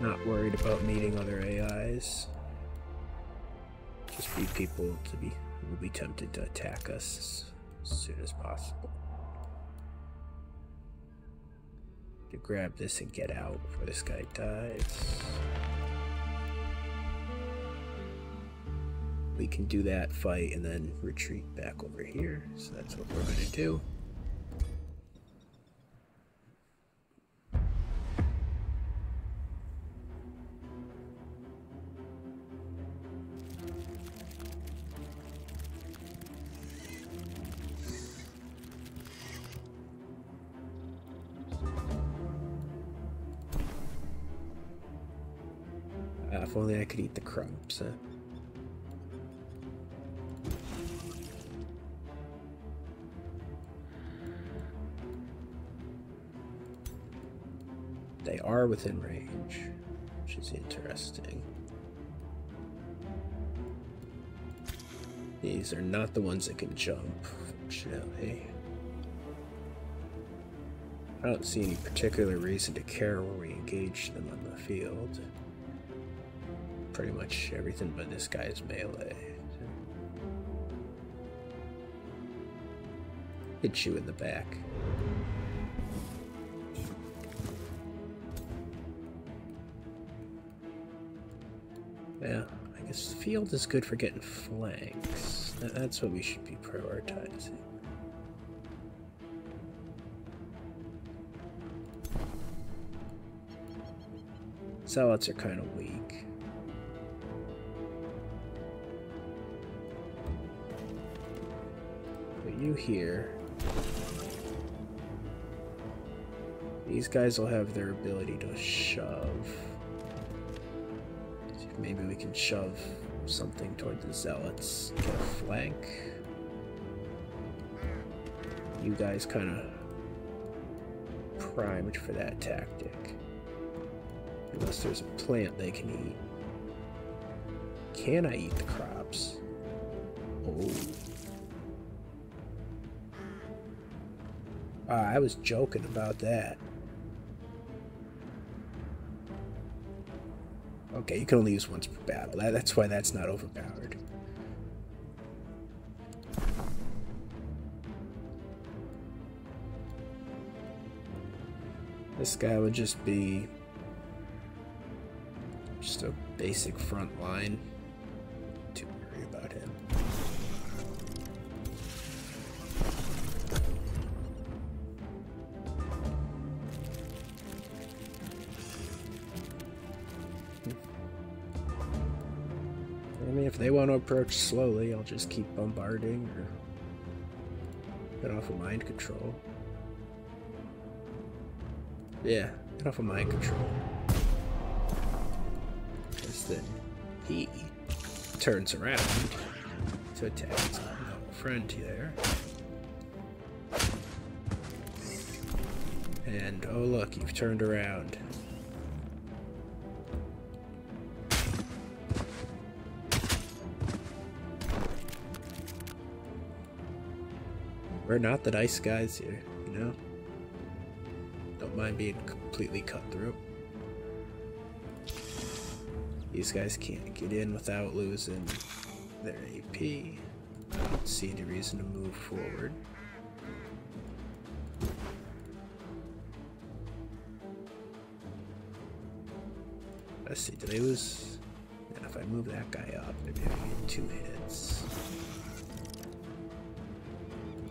Not worried about meeting other AIs. Just be people to be will be tempted to attack us as soon as possible to grab this and get out before this guy dies. We can do that fight and then retreat back over here. So that's what we're going to do. Uh, if only I could eat the crops, uh. They are within range, which is interesting. These are not the ones that can jump, fortunately. I don't see any particular reason to care where we engage them on the field. Pretty much everything but this guy is melee. Hit you in the back. Yeah, I guess field is good for getting flanks. That's what we should be prioritizing. Salads are kind of weak. but you here. These guys will have their ability to shove. maybe we can shove something toward the zealots. Get a flank. You guys kind of primed for that tactic. Unless there's a plant they can eat. Can I eat the crops? Oh. Ah, I was joking about that. Okay, you can only use once per battle. that's why that's not overpowered. This guy would just be just a basic front line to worry about him. Hmm. I mean, if they want to approach slowly, I'll just keep bombarding or get off of mind control. Yeah, Get off of my control. And then he turns around to attack his friend there. And oh look, you've turned around. We're not the nice guys here, you know? Don't mind being completely cut through. These guys can't get in without losing their AP. I don't see any reason to move forward. Let's see, did I lose? And if I move that guy up, maybe I get two hits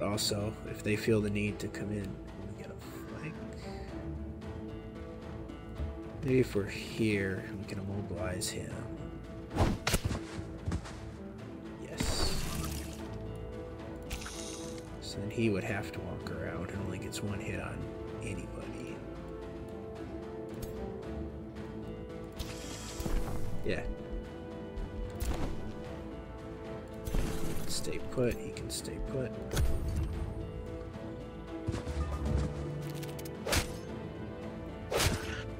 also, if they feel the need to come in, Maybe if we're here, we can immobilize him. Yes. So then he would have to walk around and only gets one hit on anybody. Yeah. Stay put, he can stay put.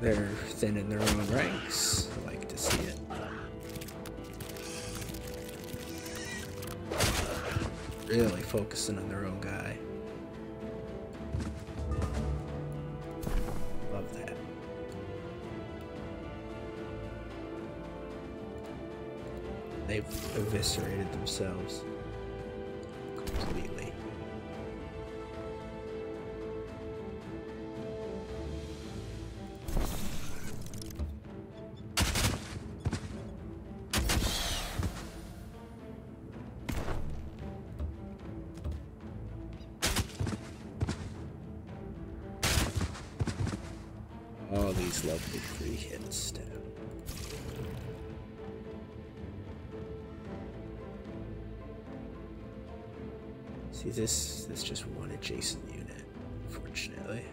They're thin in their own ranks. I like to see it. Really focusing on their own guy. Love that. They've eviscerated themselves completely. All these lovely free hits down. See this this just one adjacent unit, unfortunately.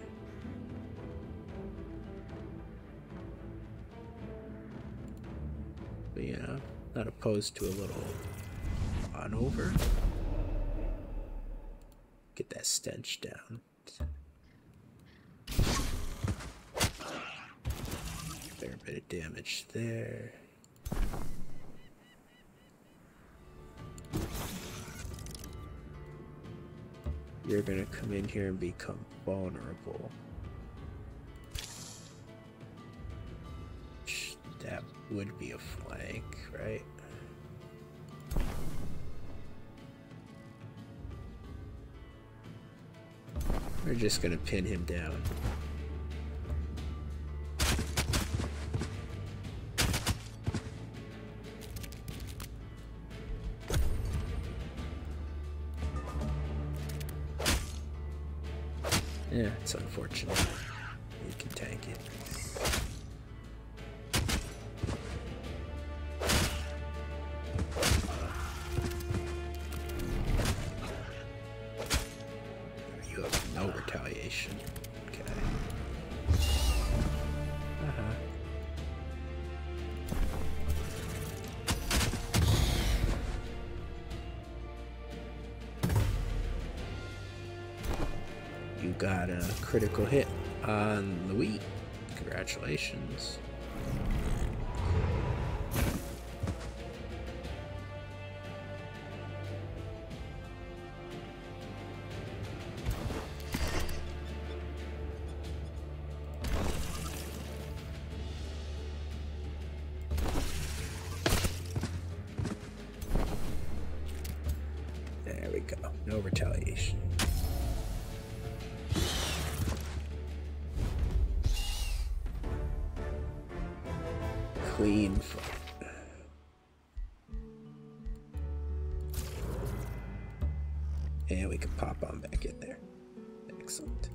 But yeah, not opposed to a little on over. Get that stench down. Fair bit of damage there. You're gonna come in here and become vulnerable that would be a flank, right? We're just gonna pin him down. Yeah, it's unfortunate. You can tank it. You have no retaliation. Okay. Uh -huh. You got a critical hit on Louis. Congratulations. There we go. No retaliation. Clean And we can pop on back in there. Excellent.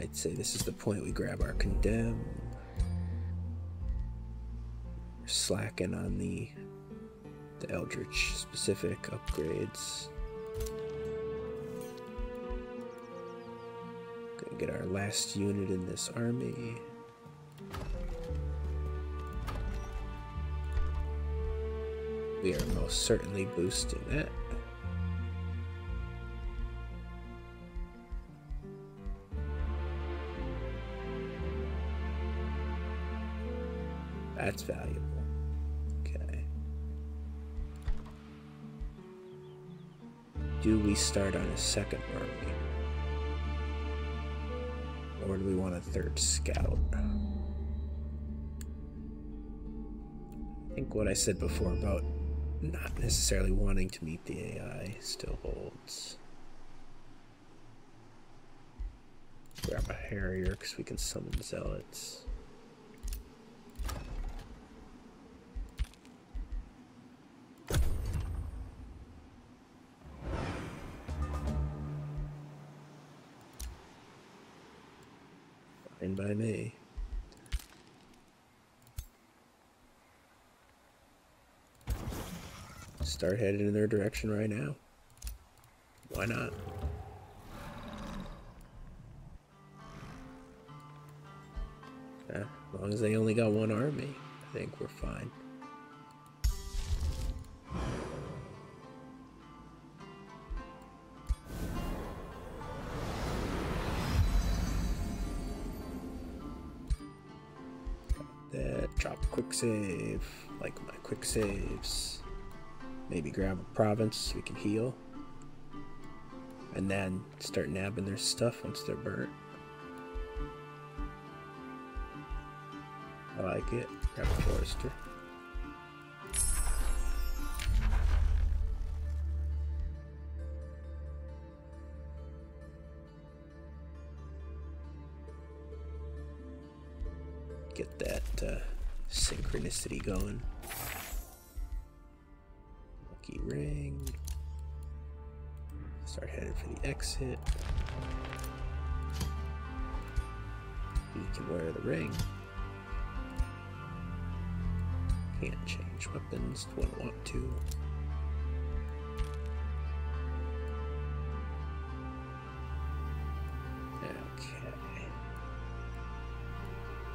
I'd say this is the point we grab our condemn. slacking on the the Eldritch specific upgrades. get our last unit in this army. We are most certainly boosting it. That's valuable. Okay. Do we start on a second army? Or do we want a third scout? I think what I said before about not necessarily wanting to meet the AI still holds. Grab a Harrier because we can summon Zealots. Fine by me. Start heading in their direction right now. Why not? as long as they only got one army, I think we're fine. That drop quick save, like my quick saves. Maybe grab a province, so we can heal. And then start nabbing their stuff once they're burnt. I like it. Grab a forester. Get that uh, synchronicity going. Lucky ring. Start heading for the exit. He can wear the ring. Can't change weapons, don't want to. Okay.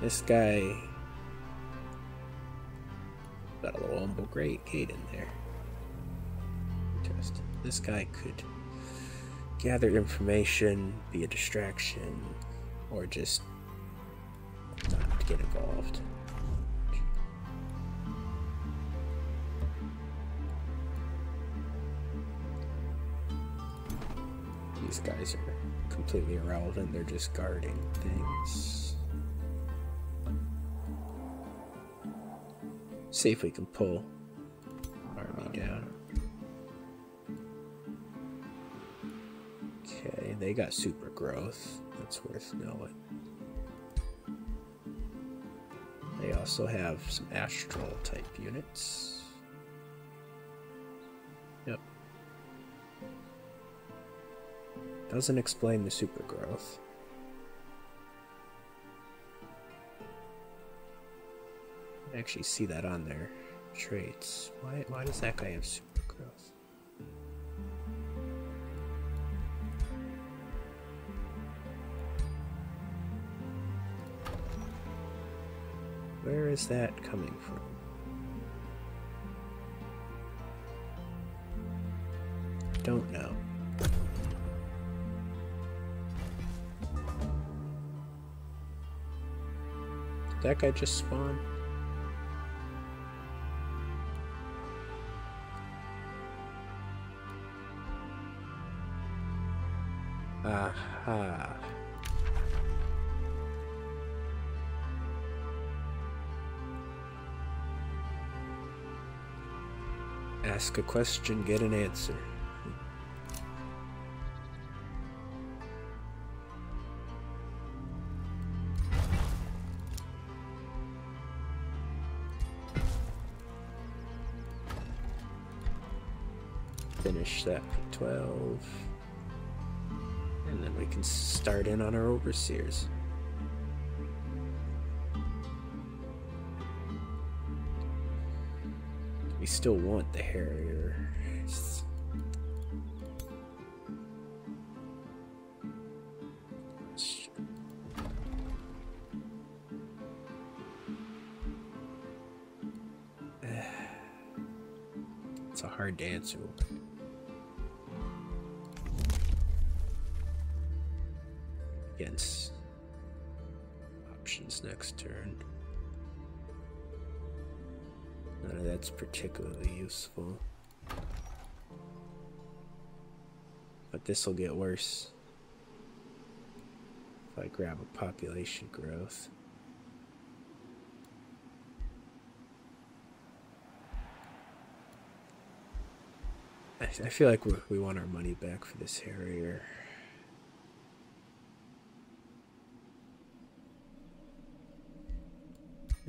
This guy got a little humble great gate in there. Interesting. This guy could gather information, be a distraction, or just not get involved. These guys are completely irrelevant, they're just guarding things. See if we can pull army down. Okay, they got super growth. That's worth knowing. They also have some astral type units. Yep. Doesn't explain the super growth. I actually see that on there. Traits. Why, why does that guy have super growth? Where is that coming from? Don't know. Did that guy just spawned? Aha. Ask a question, get an answer. Finish that 12. And then we can start in on our overseers. We still want the harriers. It's a hard dance. Against options next turn. None of that's particularly useful. But this will get worse if I grab a population growth. I, I feel like we want our money back for this Harrier.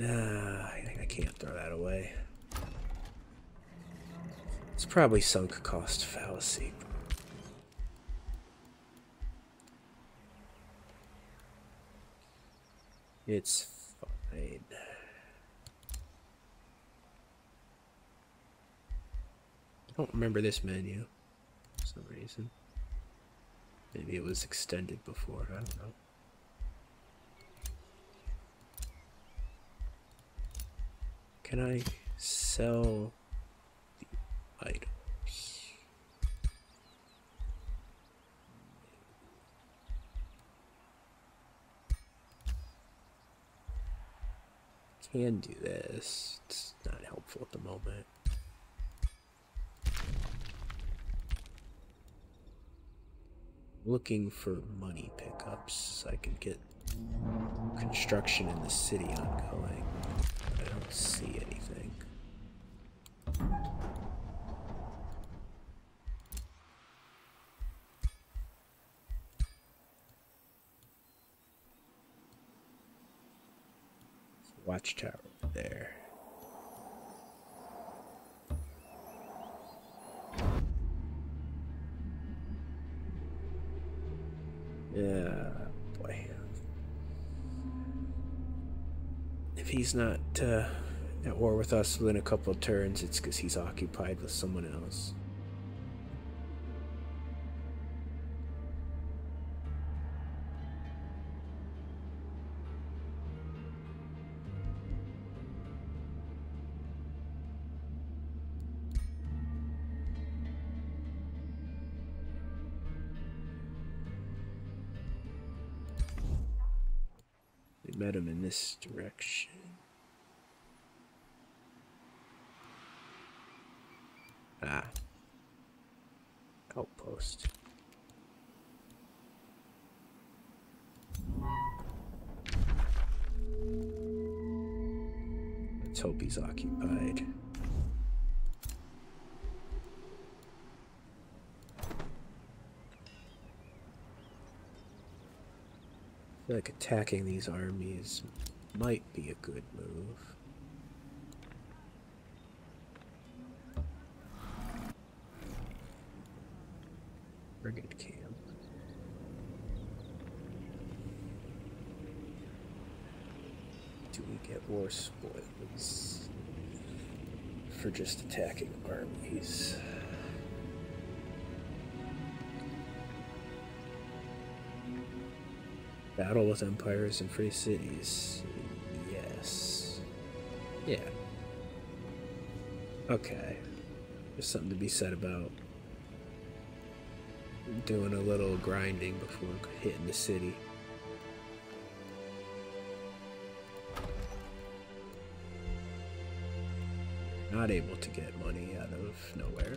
Ah, I can't throw that away. It's probably sunk cost fallacy. It's fine. I don't remember this menu for some reason. Maybe it was extended before, I don't know. Can I sell the items? Can do this. It's not helpful at the moment. Looking for money pickups I can get construction in the city ongoing. But I don't see anything. Watchtower there. Yeah, boy. If he's not uh, at war with us within a couple turns, it's because he's occupied with someone else. We met him in this direction. Ah. Outpost. Let's hope he's occupied. like attacking these armies might be a good move. Brigade camp. Do we get war spoils for just attacking armies? Battle with empires and free cities. Yes. Yeah. Okay. There's something to be said about doing a little grinding before hitting the city. Not able to get money out of nowhere.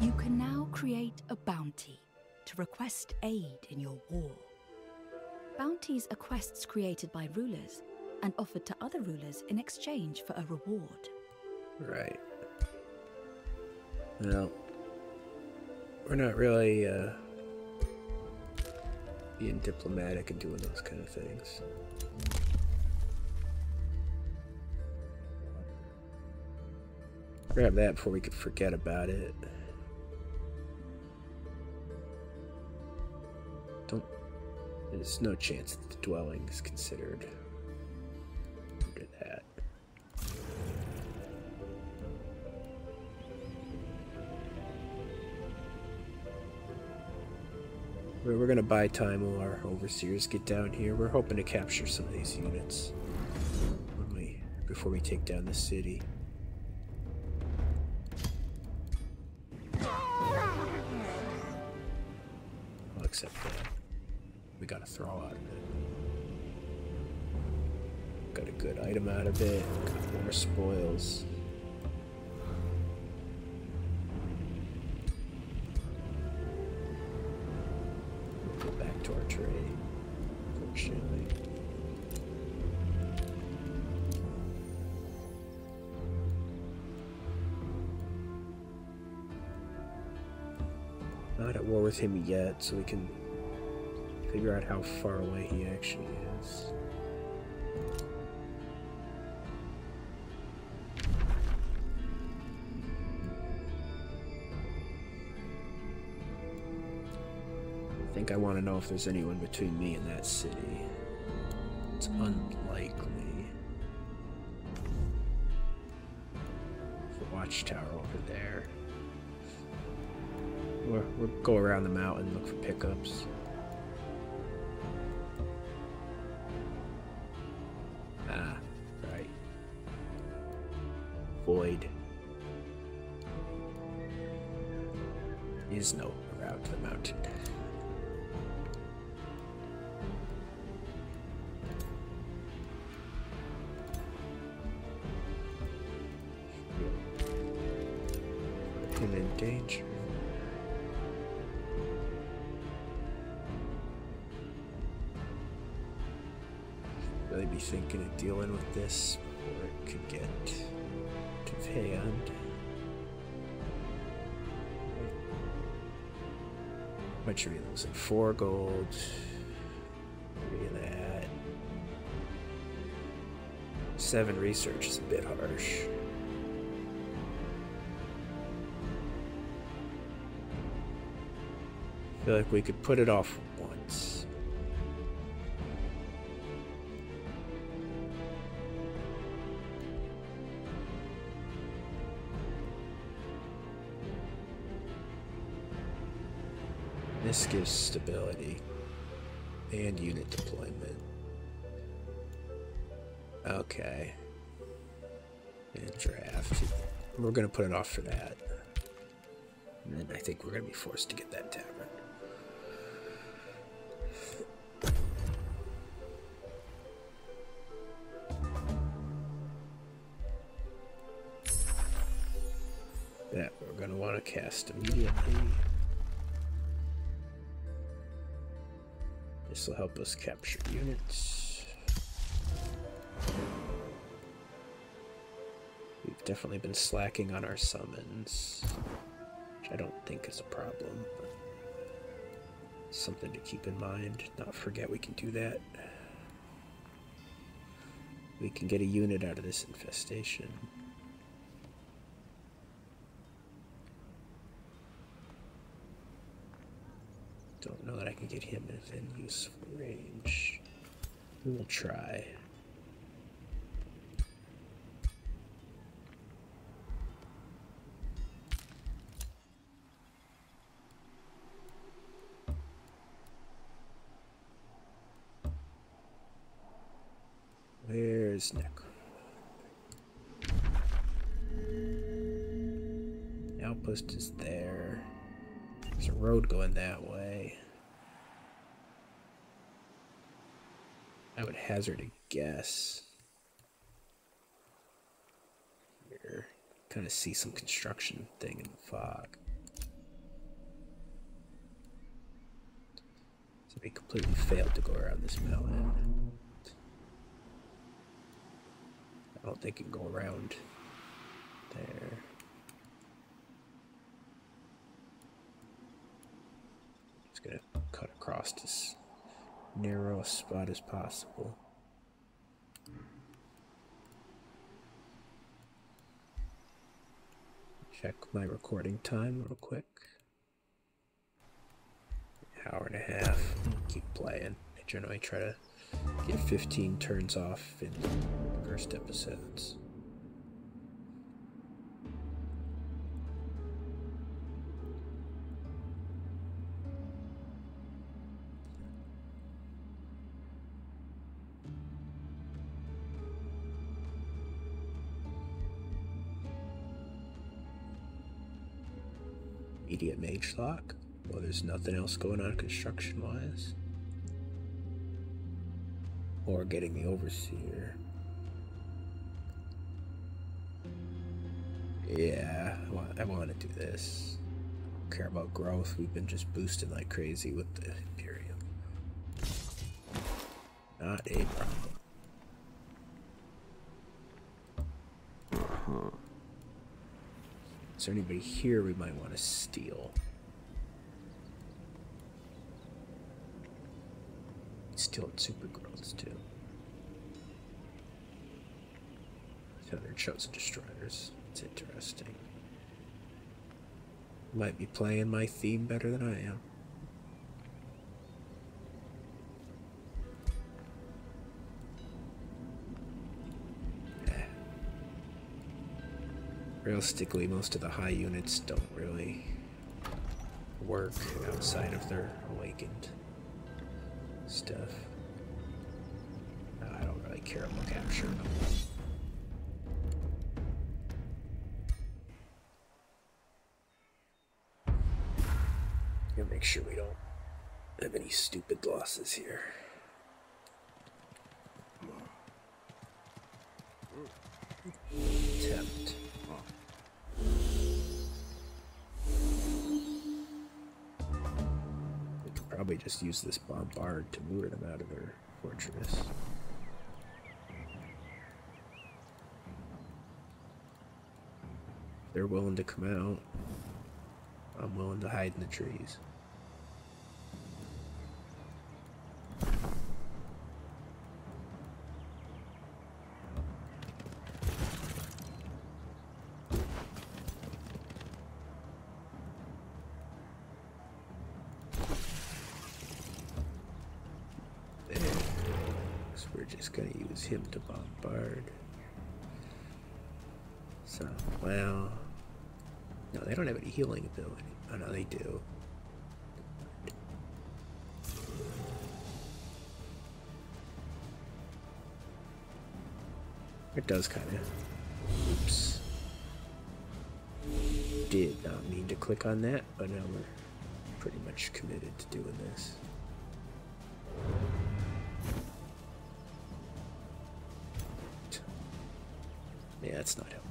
You can now create a bounty to request aid in your war. Bounties are quests created by rulers and offered to other rulers in exchange for a reward. Right. Well, we're not really uh, being diplomatic and doing those kind of things. Grab that before we could forget about it. Don't. There's no chance that the dwelling is considered. Under that. We're gonna buy time while our overseer's down here. We're hoping to capture some of these units before we take down the city. I'll We got a throw out of it. Got a good item out of it. Got more spoils. Go back to our tree. fortunately. Not at war with him yet, so we can figure out how far away he actually is. I think I want to know if there's anyone between me and that city. It's unlikely. The watchtower over there. we'll go around the mountain look for pickups. Ah, right. Void is no route to the mountain. And in danger really be thinking of dealing with this before it could get too hand. Much are we losing? Four gold. Three of that. Seven research is a bit harsh feel like we could put it off once. This gives stability and unit deployment. Okay. And draft. We're going to put it off for that. And I think we're going to be forced to get that tavern. That we're going to want to cast immediately. This will help us capture units. We've definitely been slacking on our summons, which I don't think is a problem, something to keep in mind. Not forget we can do that. We can get a unit out of this infestation. Don't know that I can get him within useful range. We'll try. Where's Nick? The outpost is there. There's a road going that way. I would hazard a guess. Here. Kind of see some construction thing in the fog. So we completely failed to go around this mountain. I don't think it can go around there. Just gonna cut across as narrow a spot as possible. Check my recording time real quick. hour and a half. Keep playing. I generally try to to get 15 turns off in first episodes. Medium Mage Lock. Well, there's nothing else going on construction wise. Or getting the overseer. Yeah, I want, to do this. Don't care about growth. We've been just boosting like crazy with the Imperium. Not a problem. Uh-huh. Is there anybody here we might want to steal? Stealing Supergirls, too. So they're Chosen Destroyers. It's interesting. Might be playing my theme better than I am. Realistically, most of the high units don't really work outside of their awakened stuff. Uh, I don't really care about capture. Gotta make sure we don't have any stupid losses here. Attempt. We could probably just use this bombard to lure them out of their fortress. They're willing to come out. I'm willing to hide in the trees. We're just going to use him to bombard. So, well, no, they don't have any healing ability. Oh no, they do. It does kind of. Oops. Did not mean to click on that, but now we're pretty much committed to doing this. Yeah, that's not helpful.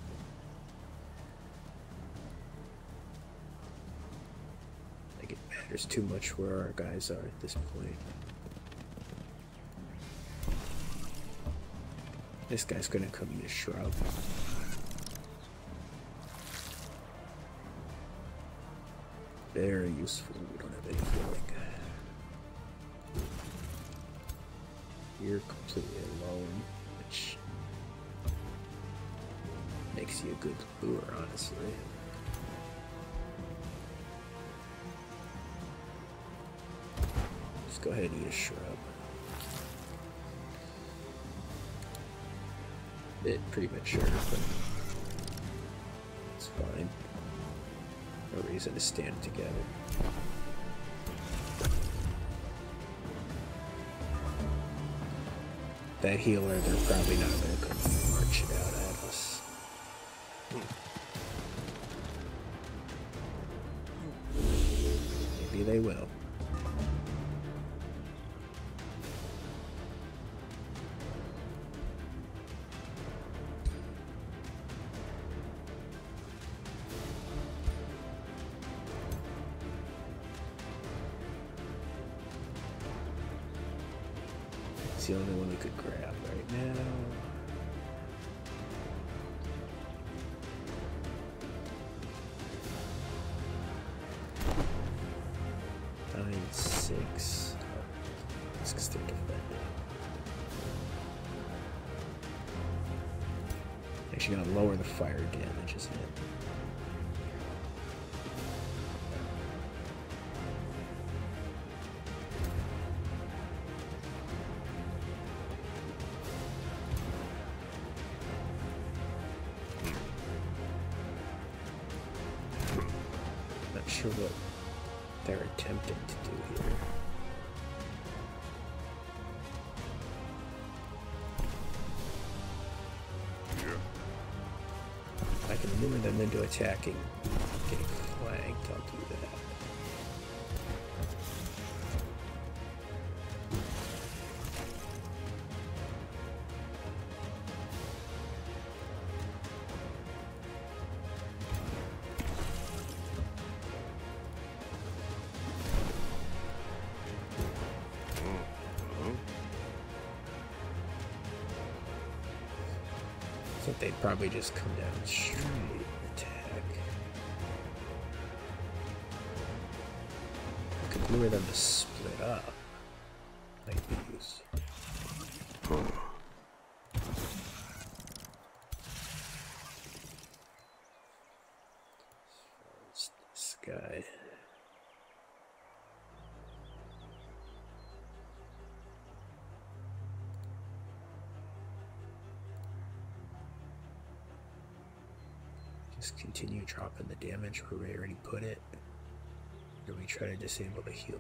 I think it matters too much where our guys are at this point. This guy's gonna come in a shrub. Very useful, we don't have any healing. You're completely alone, which makes you a good lure, honestly. Just go ahead and eat a shrub. It pretty much sure, but it's fine. Oh, a reason to stand together. That healer, they're probably not going to march marching out at us. Maybe they will. It's the only one we could grab right now. Let's get stick defender. Actually gonna lower the fire damage, isn't it? sure what they're attempting to do here. I can lure them into attacking. Getting flanked, I'll do that. I think they'd probably just come down straight attack. I could lure them to split up. Like these this guy. Just continue dropping the damage where we already put it. Or we try to disable the healer.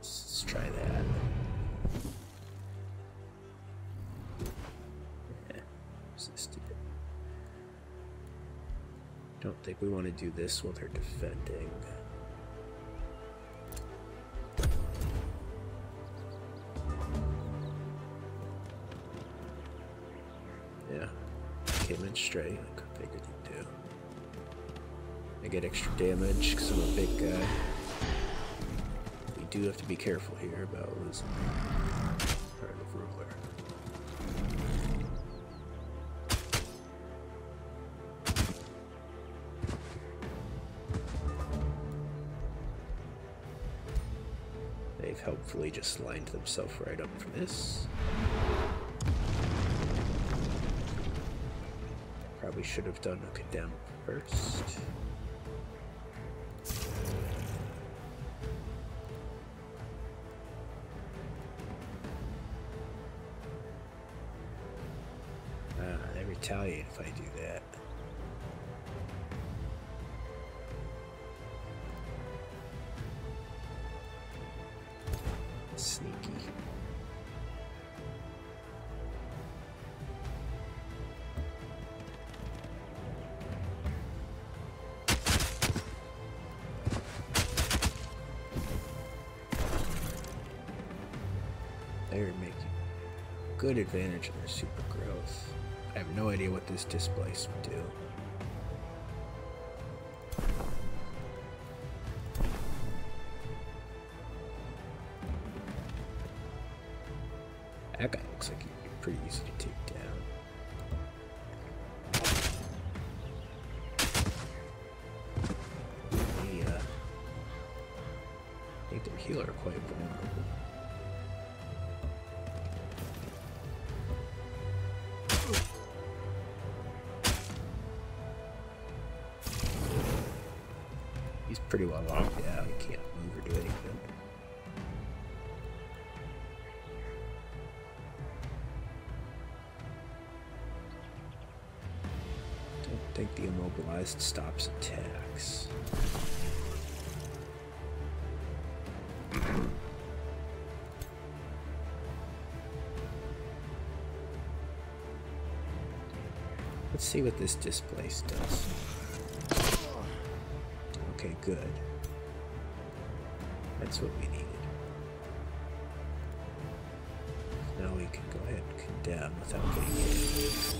let's try that. Yeah, Don't think we want to do this while they're defending. Yeah, came in straight. Like I figured you do. I get extra damage because I'm a big guy. We do have to be careful here about losing part of ruler. They've helpfully just lined themselves right up for this. Probably should have done a condemn first. Ah, they retaliate if I do that. Sneaky. They're making good advantage of their super growth. I have no idea what this displace would do. That guy looks like he'd be pretty easy to take down. They, uh, make their healer quite vulnerable. He's pretty well locked Yeah, He can't move or do anything. Don't think the immobilized stops attacks. Let's see what this displace does. Okay, good. That's what we needed. Now we can go ahead and condemn without getting hit.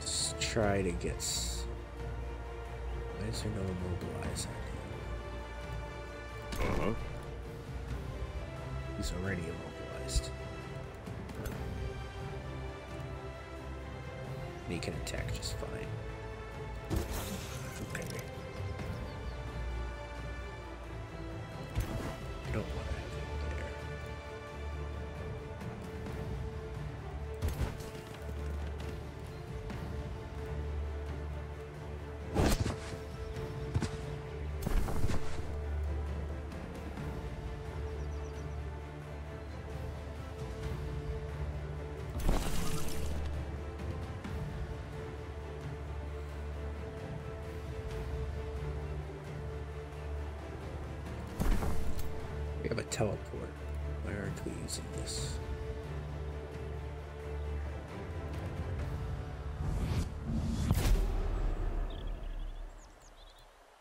Let's try to get... Why is there no immobilizer? Uh-huh. He's already immobilized. He can attack just fine. I don't want to have him there. We have a teleport. Why aren't we using this?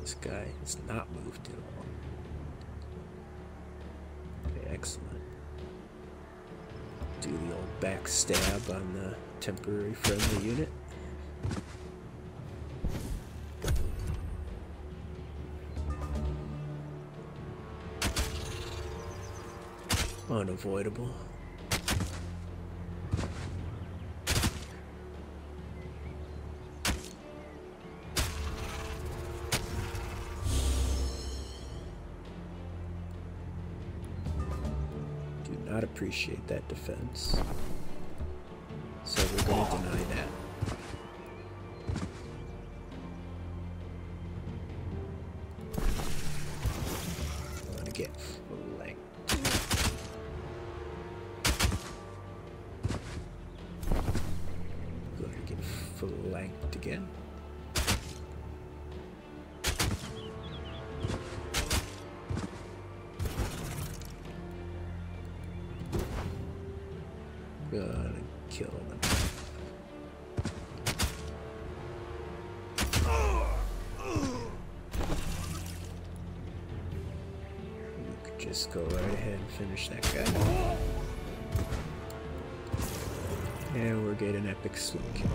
This guy has not moved at all. Okay, excellent. Do the old backstab on the temporary friendly unit. Unavoidable. Do not appreciate that defense. So we're going to deny that. gonna get flanked. Look, I get flanked again. Gotta kill him just go right ahead and finish that guy. And we're getting epic swing kill.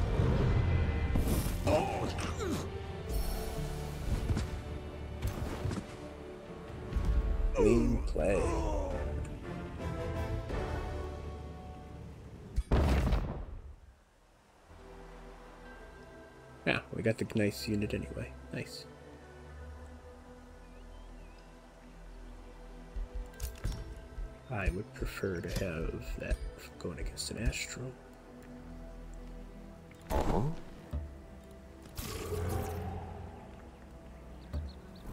Clean play. Yeah, we got the nice unit anyway. Nice. I would prefer to have that going against an Astro.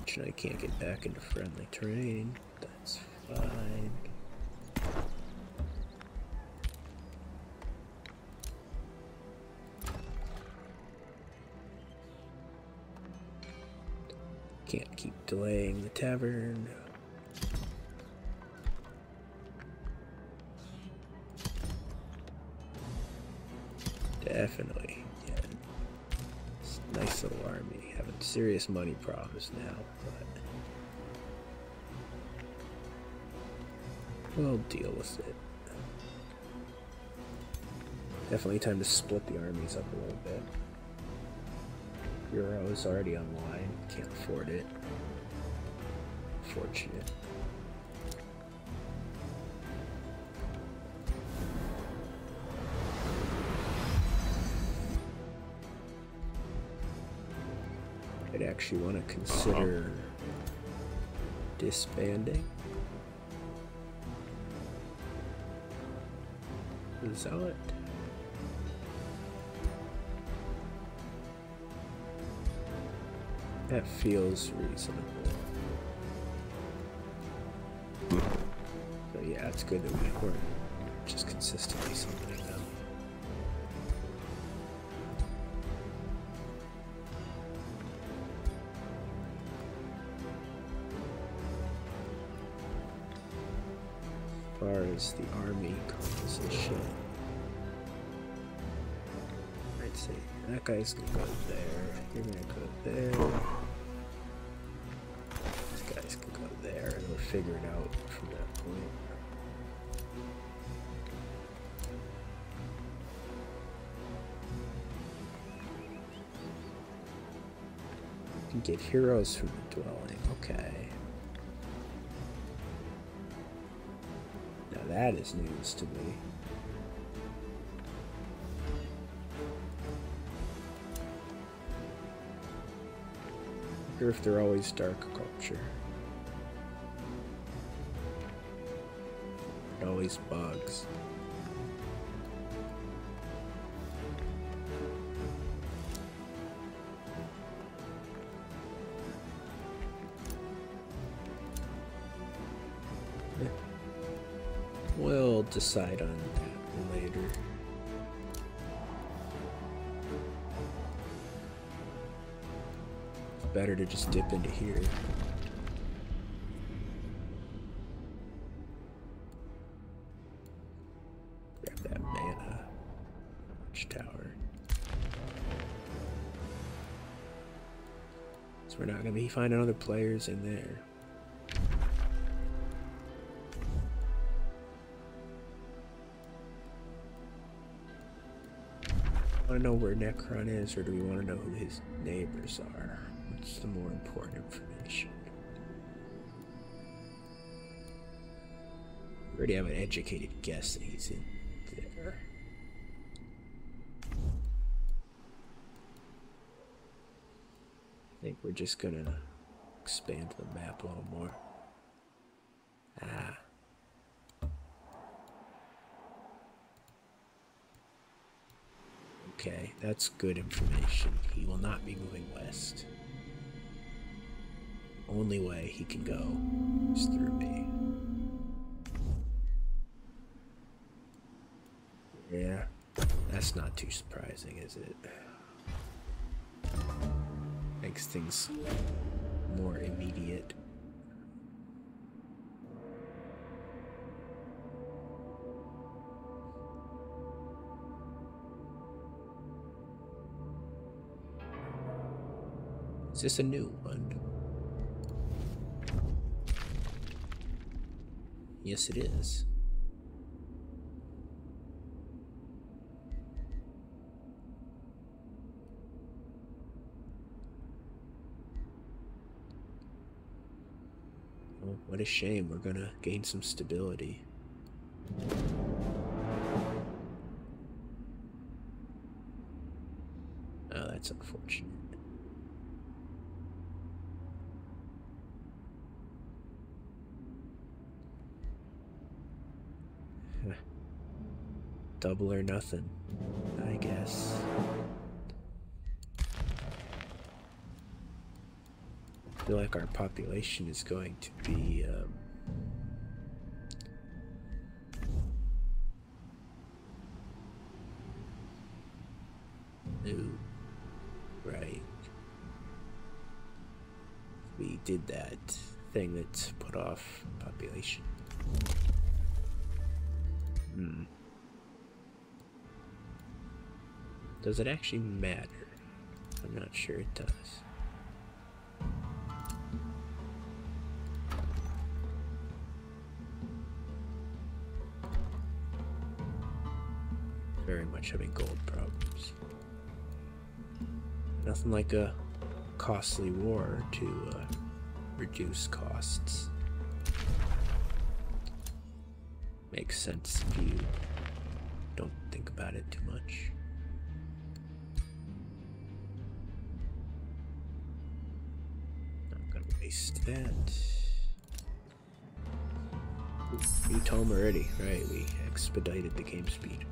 Which I can't get back into friendly terrain. That's can't keep delaying the tavern. Definitely. nice little army. Having serious money problems now we'll deal with it. Definitely time to split the armies up a little bit. Euro is already online, can't afford it. Fortunate. I'd actually want to consider disbanding. The zealot. That feels reasonable. So yeah, it's good that we we're just consistently summoning them. As far as the army composition. I'd say that guy's gonna go there, you're gonna go there, these guys can go there, and we'll figure it out from that point. Get heroes from the dwelling. Okay. Now that is news to me. I wonder if they're always dark culture. It always bugs. We'll decide on that later better to just dip into here. Grab that mana. Watchtower. So we're not going to be finding other players in there. I Want to know where Necron is, or do we want to know who his neighbors are? What's the more important information? already have an educated guess that he's in there. I think we're just gonna expand the map a little more. Ah. Okay, that's good information. He will not be moving west. Only way he can go is through me. Yeah, that's not too surprising, is it? Makes things more immediate. Is this a new one? Yes, it is. Well, oh, what a shame. We're gonna gain some stability. Oh, that's unfortunate. Double or nothing, I guess. I feel like our population is going to be new, um, right? we did that thing that's put off population. Hmm. Does it actually matter? I'm not sure it does. Very much having gold problems. Nothing like a costly war to uh, reduce costs. Makes sense if you don't think about it too much. Not gonna waste that. Ooh, new already, right? We expedited the game speed.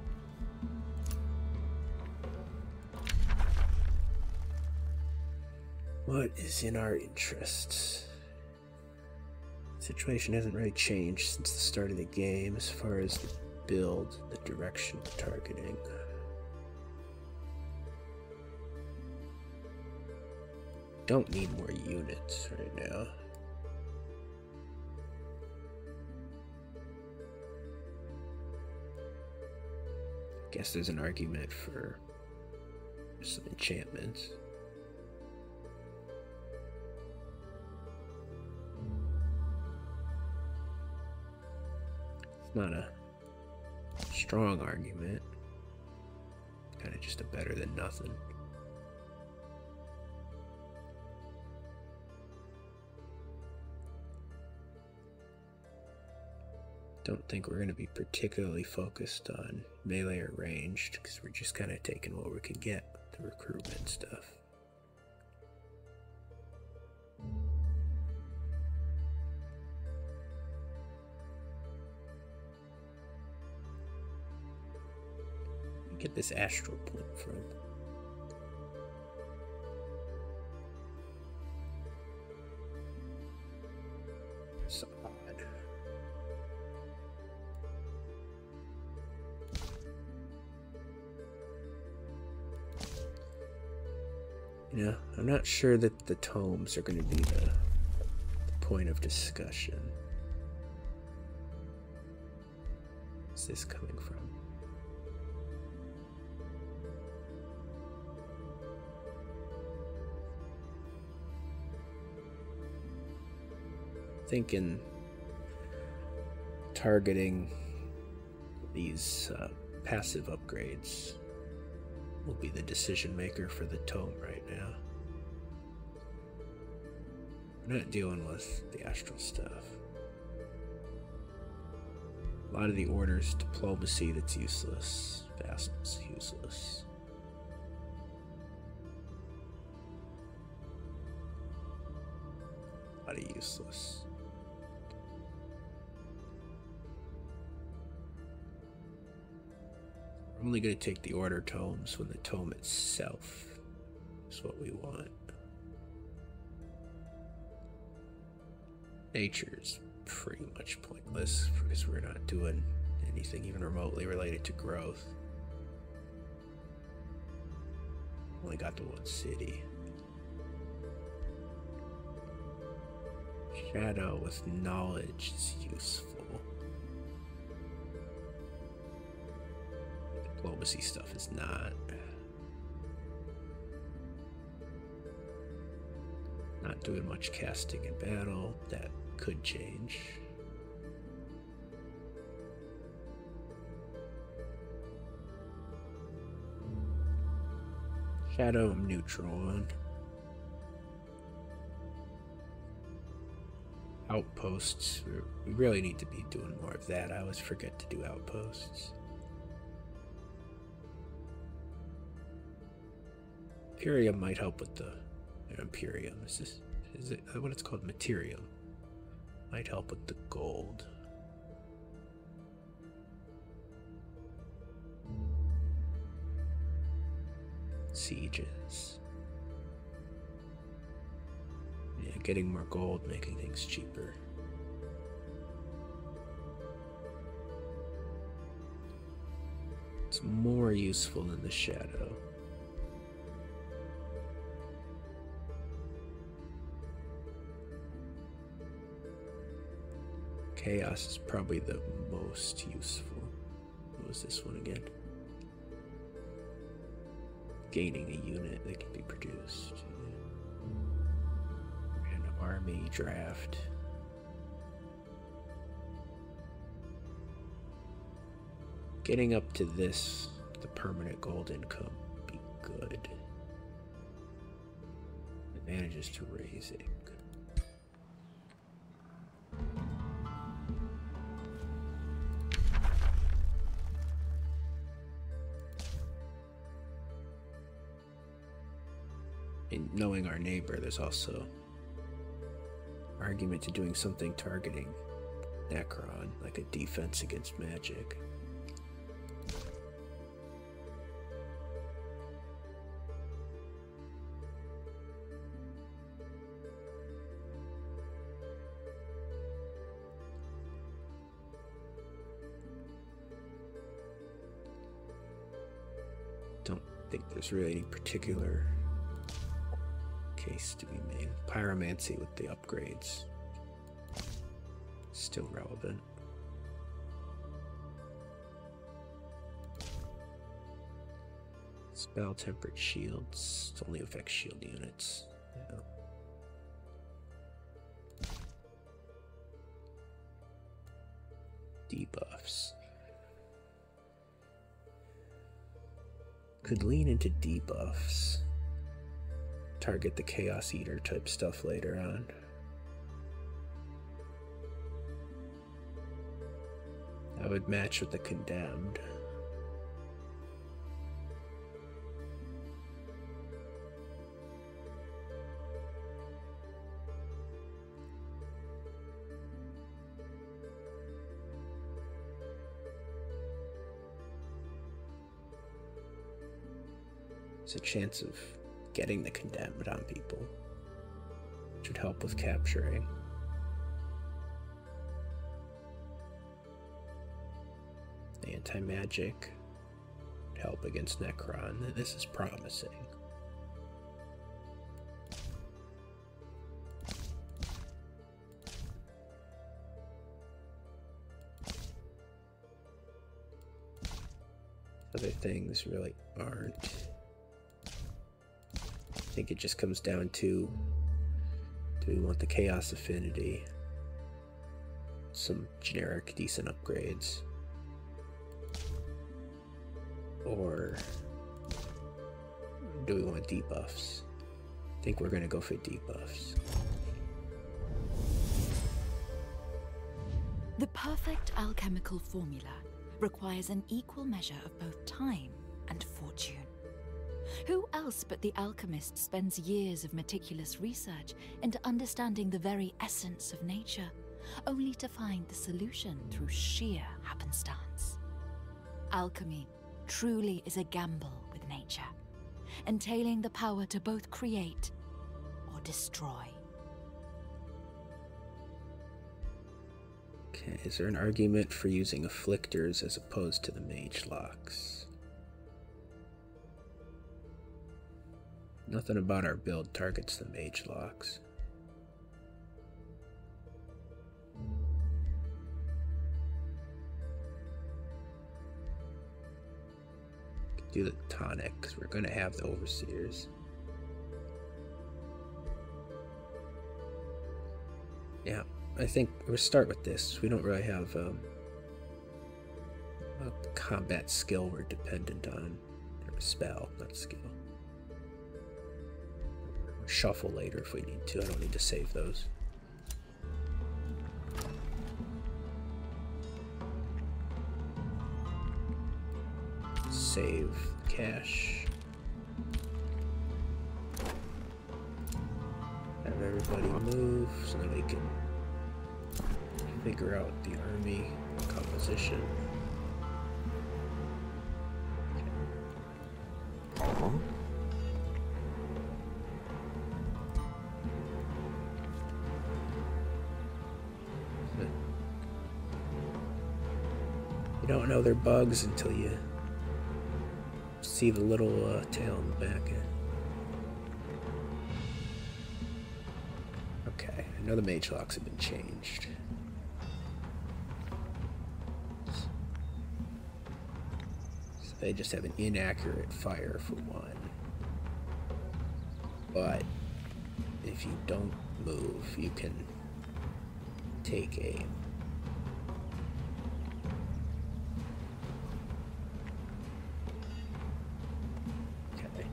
What is in our interests? The situation hasn't really changed since the start of the game as far as the build, the direction of targeting. Don't need more units right now. Guess there's an argument for some enchantments. It's not a strong argument. Kind of just a better than nothing. Don't think we're going to be particularly focused on melee or ranged because we're just kind of taking what we can get with the recruitment stuff. Get this astral point from. So odd. You I'm not sure that the tomes are going to be the, the point of discussion. Where's this coming from? Thinking targeting these uh, passive upgrades will be the decision maker for the tome right now. We're not dealing with the astral stuff. A lot of the orders, diplomacy that's useless, vastness useless. A lot of useless. I'm only going to take the order tomes when the tome itself is what we want. Nature is pretty much pointless because we're not doing anything even remotely related to growth. Only got to one city. Shadow with knowledge is useful. Diplomacy stuff is not. Not doing much casting in battle. That could change. Shadow I'm neutral on. Outposts. We really need to be doing more of that. I always forget to do outposts. Imperium might help with the Imperium. Is this is uh, what it's called? Materium. Might help with the gold. Sieges. Yeah, getting more gold, making things cheaper. It's more useful in the shadow. Chaos is probably the most useful. What was this one again? Gaining a unit that can be produced first. army draft. Getting up to this, the permanent gold income, be good. Advantages to raise it in knowing our neighbor, there's also argument to doing something targeting Necron, like a defense against magic. Don't think there's really any particular case to be made. Pyromancy with the upgrades. Still relevant. Spell tempered shields only affects shield units. Debuffs. Could lean into debuffs. Target the Chaos Eater type stuff later on. I would match with the Condemned. It's a chance of getting the condemned on people, which would help with capturing. Anti magic, help against Necron. This is promising. Other things really aren't. I think it just comes down to do we want the Chaos Affinity? some generic decent upgrades. Or do we want debuffs? I think we're gonna go for debuffs. The perfect alchemical formula requires an equal measure of both time and fortune. Who else but the alchemist spends years of meticulous research into understanding the very essence of nature, only to find the solution through sheer happenstance. Alchemy truly is a gamble with nature, entailing the power to both create or destroy. Okay, is there an argument for using afflictors as opposed to the mage locks? Nothing about our build targets the mage locks. Do the tonic, we're going to have the overseers. Yeah, I think we start with this. We don't really have um, a combat skill we're dependent on spell, not skill. Shuffle later if we need to. I don't need to save those. Save cash. Have everybody move so that we can figure out the army composition. You don't know they're bugs until you see the little uh, tail in the back end. Okay, I know the mage locks have been changed. they just have an inaccurate fire for one. But if you don't move, you can take aim. Okay.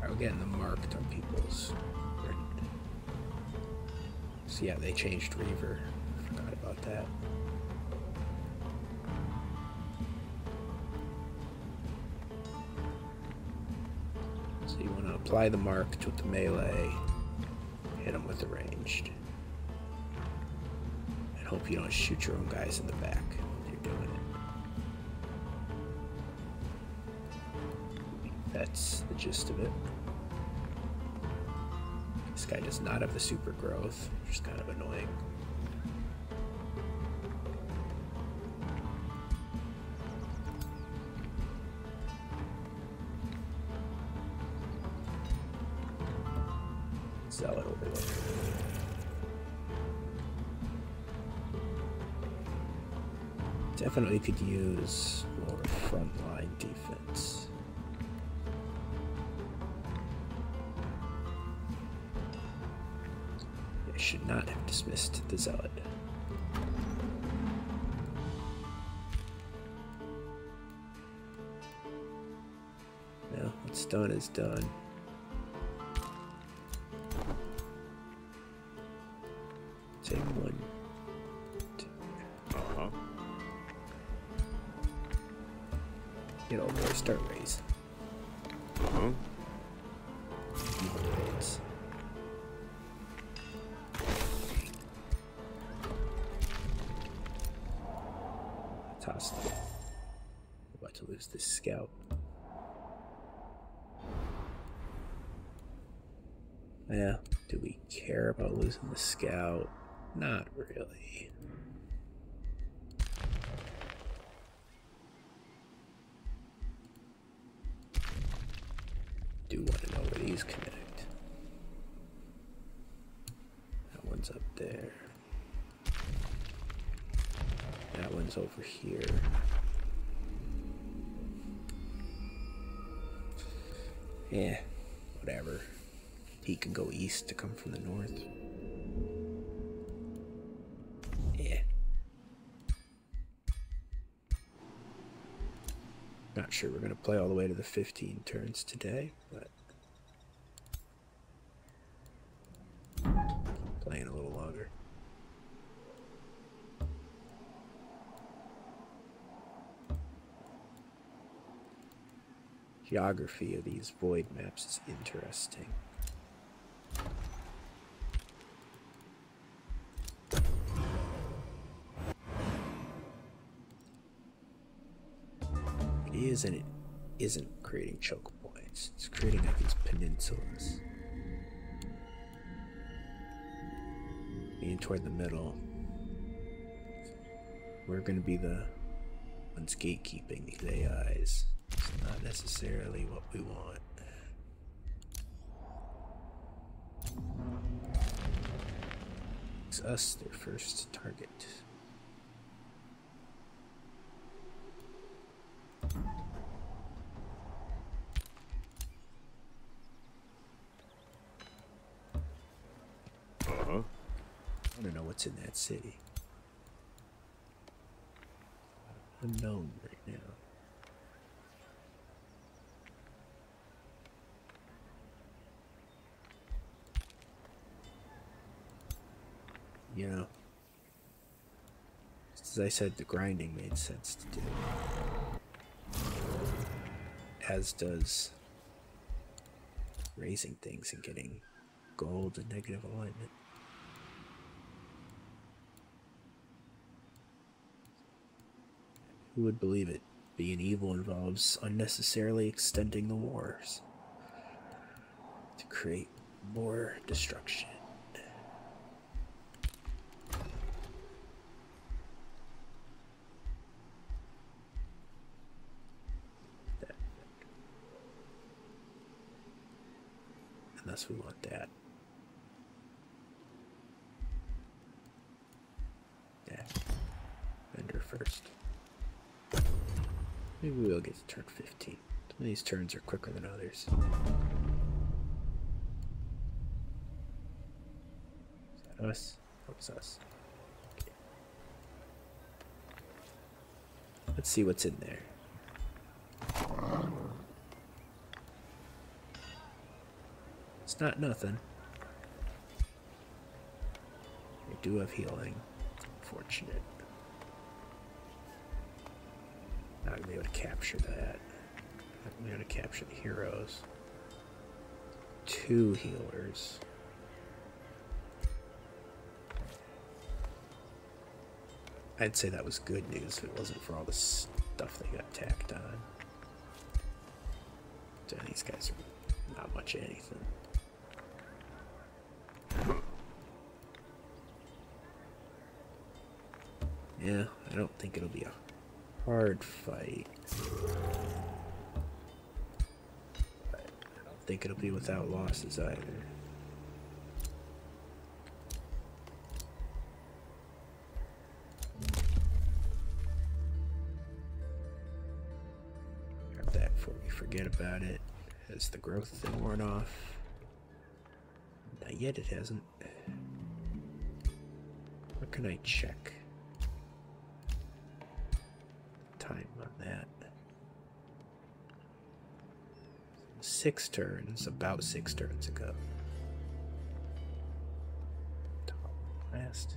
Right, we're getting them marked on people's. See how they changed Reaver. Forgot about that. So you want to apply the mark to the melee, hit them with the ranged. And hope you don't shoot your own guys in the back you're doing it. That's the gist of it. This guy does not have the super growth, which is kind of annoying. Sell Definitely could use more frontline defense. I should not have dismissed the zealot. No, what's done is done. Take one. Uh-huh. Get over there, start raise. Uh-huh. Fantastic. I'm about to lose the scout. Yeah, do we care about losing the scout? Not really. Do want to know where these connect. That one's up there. That one's over here. Yeah, whatever. He can go east to come from the north. Yeah. Not sure we're going to play all the way to the 15 turns today, but playing a little longer. Geography of these void maps is interesting. It is and it isn't creating choke points. It's creating like these peninsulas. Being toward the middle, we're going to be the ones gatekeeping these AIs. It's not necessarily what we want. It's us their first target. Uh-huh. I don't know what's in that city. Unknown right now. You know, as I said, the grinding made sense to do. As does raising things and getting gold and negative alignment. Who would believe it? Being evil involves unnecessarily extending the wars to create more destruction. Unless we want that. Yeah. Vendor first. Maybe we'll get to turn 15. Some of these turns are quicker than others. us? That us. Let's see what's in there. It's not nothing. They do have healing. Fortunate. Not gonna be able to capture that. Not gonna capture the heroes. Two healers. I'd say that was good news if it wasn't for all the stuff they got tacked on. these guys are not much anything. Yeah, I don't think it'll be a hard fight. I don't think it'll be without losses either. Grab that before we forget about it. Has the growth thing worn off? Not yet, it hasn't. What can I check? Time on that. Six turns, about six turns ago. Last.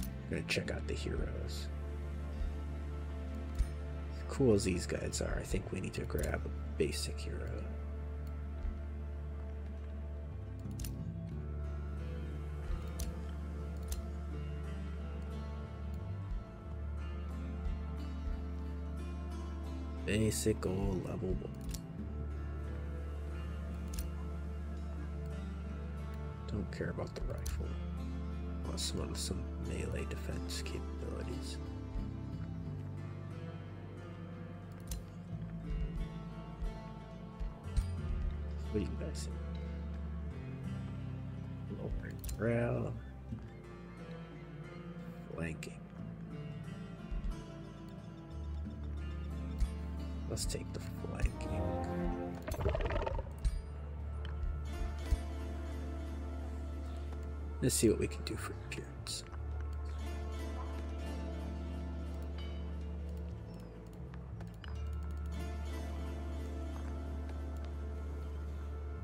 I'm gonna check out the heroes. cool as these guys are, I think we need to grab a basic hero. Basic old level one. Don't care about the rifle. Want someone some melee defense capabilities. What do you guys think? Lowering morale. Flanking. Let's take the flanking. Let's see what we can do for kids.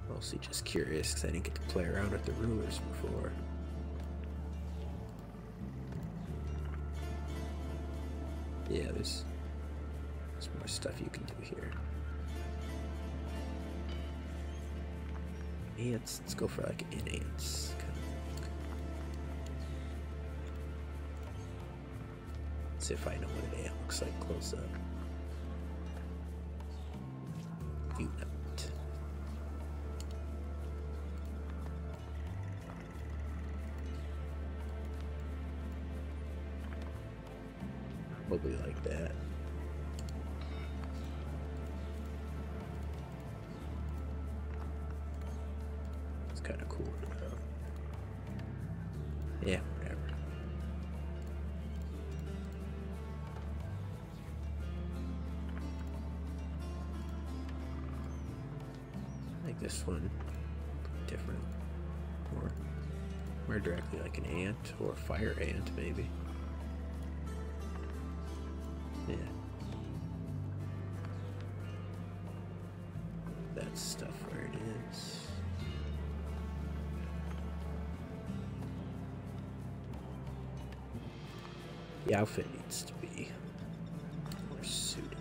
Mostly just curious because I didn't get to play around with the rulers before. Yeah, there's, there's more stuff you can do here. Ants, let's go for like an ants. see if I know what an ant looks like close up. You know. Probably like that. It's kind of cool. Yeah, whatever like this one. Different. Or more directly like an ant or a fire ant maybe. Yeah. That stuff where it is. The outfit needs to be more suited.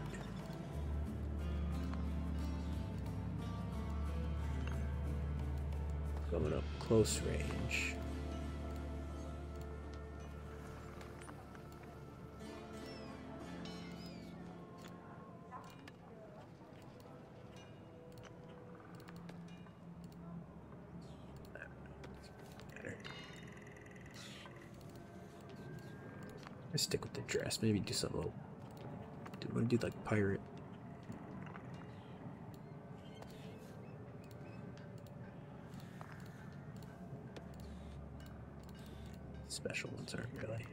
Coming up close range. I stick with the dress. Maybe do something a little. Do want to do like pirate? Special ones aren't really.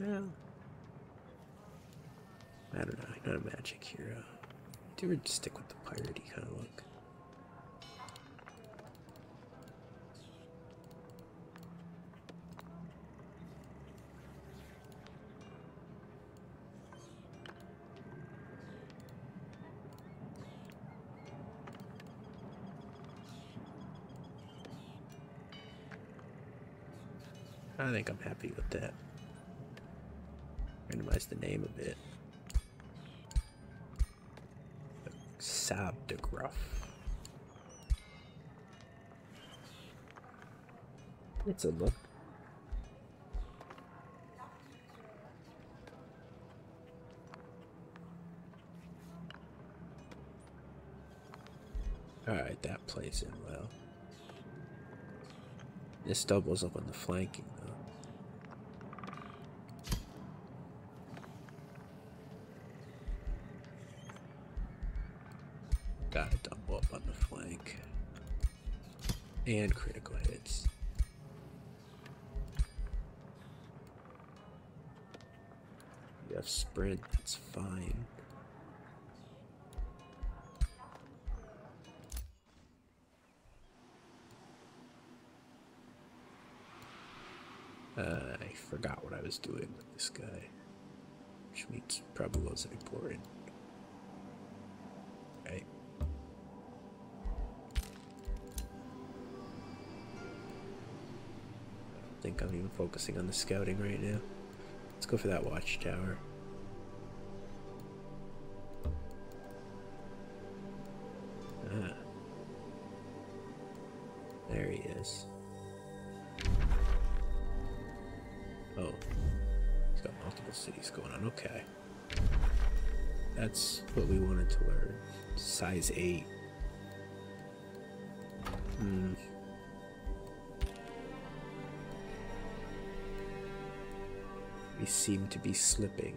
Well, I don't know. not a magic hero. Uh. Do we stick with the piratey kind of look? I think I'm happy with that. Randomize the name a bit. Sabdegraph. It's a look. Alright, that plays in well. This doubles up on the flanking, though got a double up on the flank. And critical hits. You have sprint, that's fine. Uh, I forgot what I was doing with this guy, which means probably wasn't important. Right. I think I'm even focusing on the scouting right now. Let's go for that watchtower. Ah. There he is. Oh. He's got multiple cities going on. Okay. That's what we wanted to learn. Size 8. Hmm. We seem to be slipping.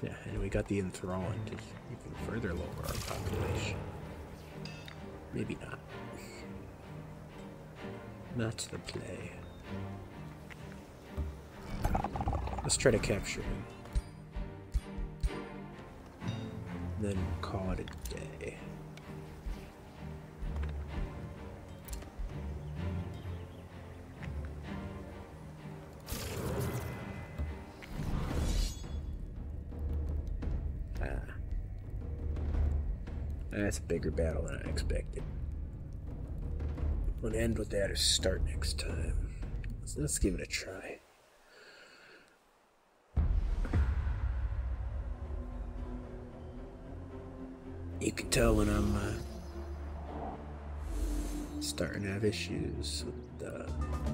Yeah, and we got the enthroned to even further lower our population. Maybe not. That's the play. Let's try to capture him. Then call it a day. Ah. That's a bigger battle than I expected. we am gonna end with that or start next time. Let's, give it a try. You can tell when I'm uh, starting to have issues with uh,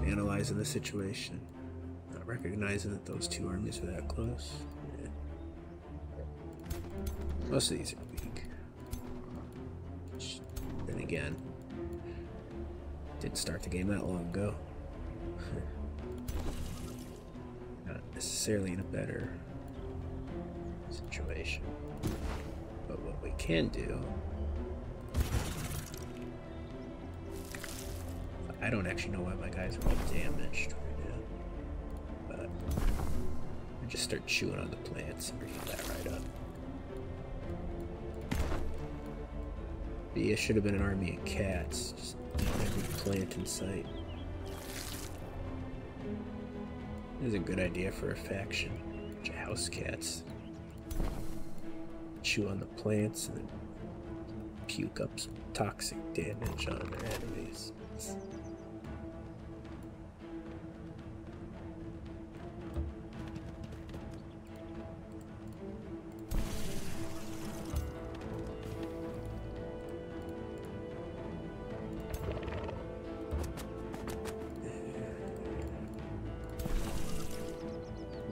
analyzing the situation. Not recognizing that those two armies are that close. Most of these are weak. Then again, didn't start the game that long ago. Not necessarily in a better situation. But what we can do I don't actually know why my guys are all damaged But I just start chewing on the plants and fill that right up. But yeah, should have been an army of cats. Just every plant in sight. This is a good idea for a faction. A bunch house cats. Chew on the plants and puke up some toxic damage on their enemies.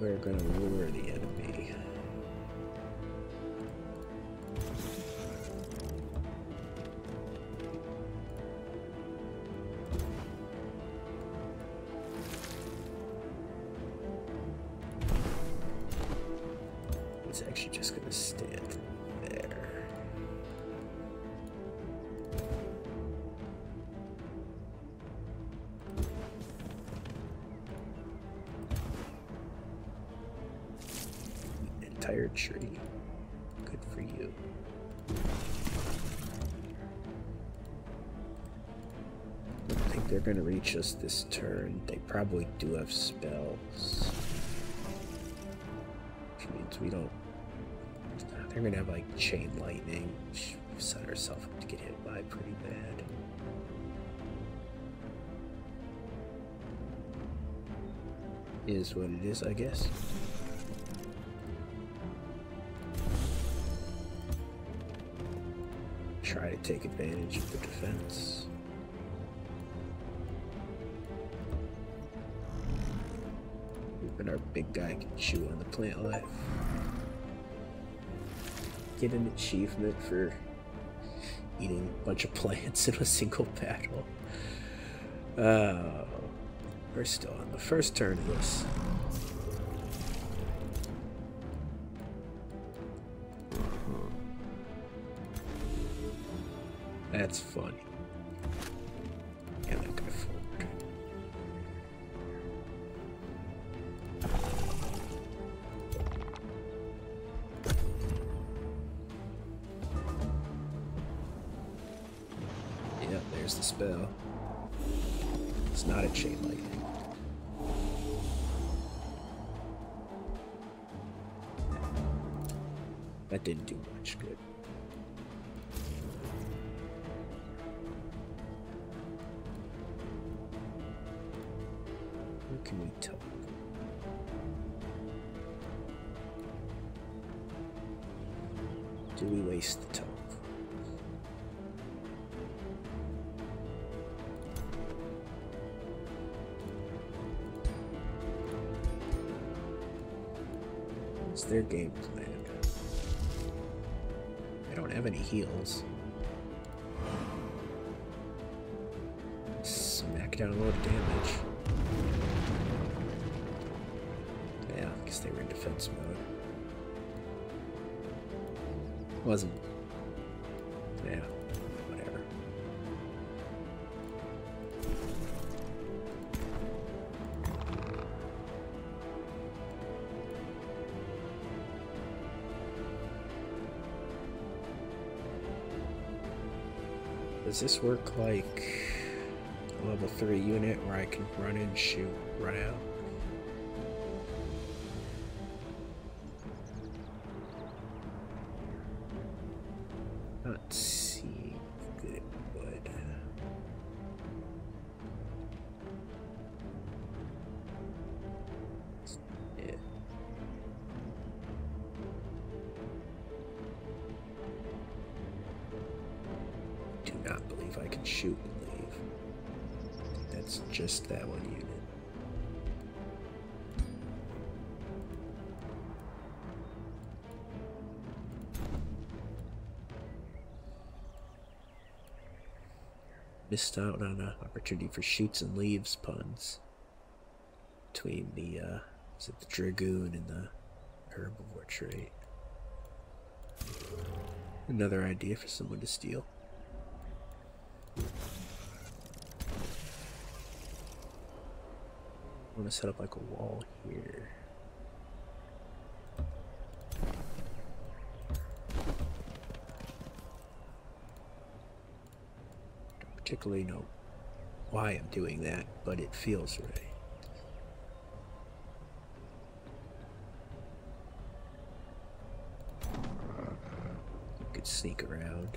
We're gonna lure the enemy. It's actually just gonna stand there entire tree. Good for you. I don't think they're going to reach us this turn. They probably do have spells. Which means we don't... They're going to have, like, chain lightning set herself up to get hit by pretty bad. Is what it is, I guess. Try to take advantage of the defense. Even our big guy can chew on the plant life get an achievement for eating a bunch of plants in a single battle. Uh, we're still on the first turn of this. That's funny. And that guy forward. Yep, there's the spell. It's not a chain lightning. That didn't do much good. Where can we talk? Do we waste the talk? It's their game plan? I don't have any heals. Smack down a lot of damage. Yeah, I guess they were in defense mode. Wasn't. Yeah, whatever. Does this work like a level 3 unit where I can run and shoot, run out? Let's see good, but yeah. Do not believe I can shoot and leave. That's just that one unit. Missed out on an opportunity for shoots and leaves puns between the uh, is it the dragoon and the herbivore trait. Another idea for someone to steal. I'm gonna set up like a wall here. Don't particularly know why I'm doing that, but it feels right. You could sneak around.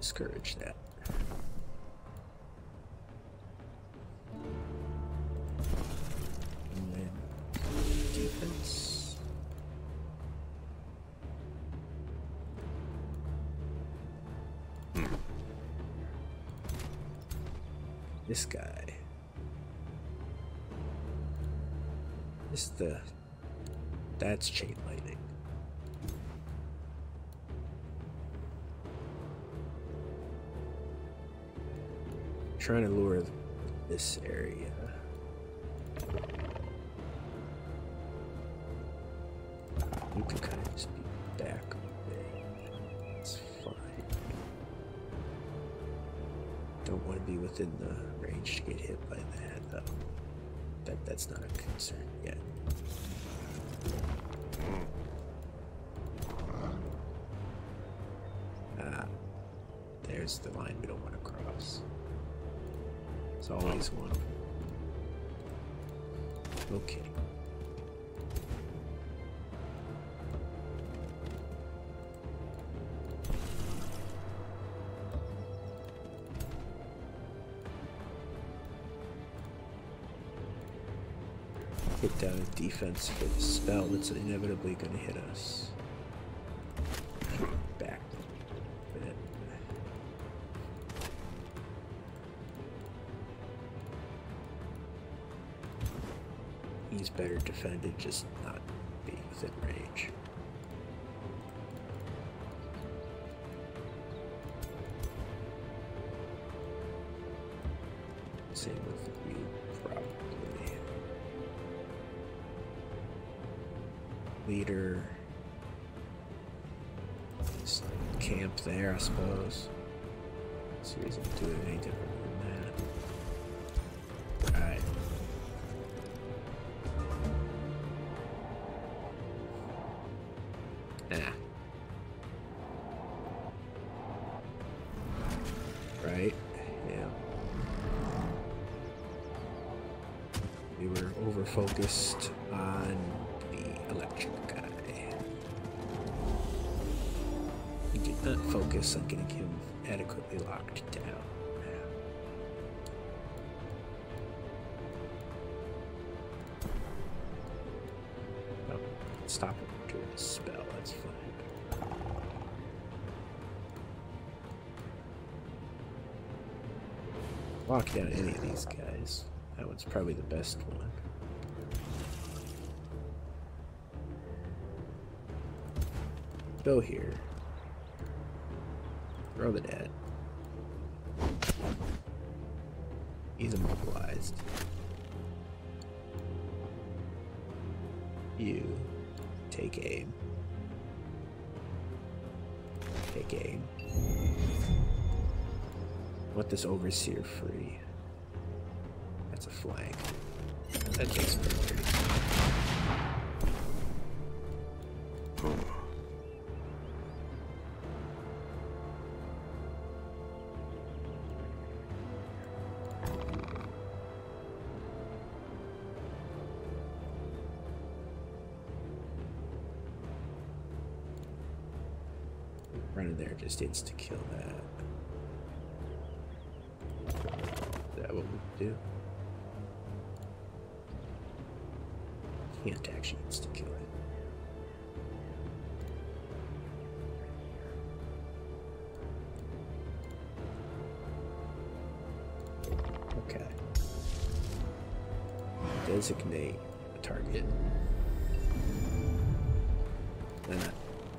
Discourage that defense. Hmm. This guy. This the that's chain lightning. Trying to lure this area. You can kind of just be back a It's fine. Don't want to be within the range to get hit by that, though. That, that's not a concern yet. Ah, there's the line we don't want to cross. It's always one. Okay. Hit down a defense for the spell that's inevitably going to hit us. Back. He's better defended, just not being within range. Same with me, probably. Leader. camp there, I suppose. see if I can do it than that. Alright. Ah. Right? Yeah. We were over focused on the electric guy. We did not focus on getting him adequately locked down stop it doing the spell, that's fine. Lock down any of these guys. That one's probably the best one. Go here. Throw the dead. He's immobilized. You take aim. Take aim. Let this overseer free. That's a flank. Running there just needs to kill that. that what we do? Can't actually needs to kill it. Okay. Designate a target.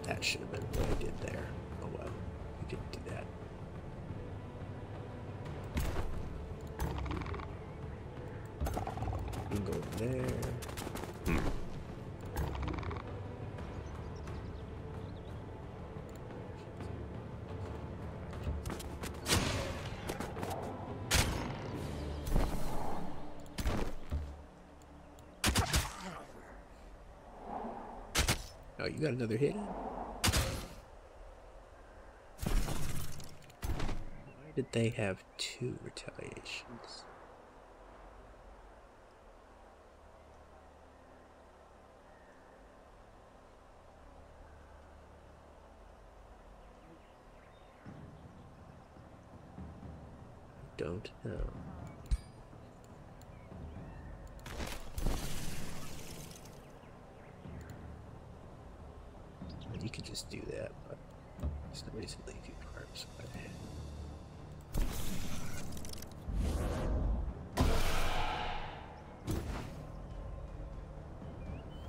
that, should have been what I did there. Oh well, we didn't do that. go there. Hmm. Oh, you got another hit? Why did they have two retaliations. Don't know. You could just do that, it's basically a few parts, but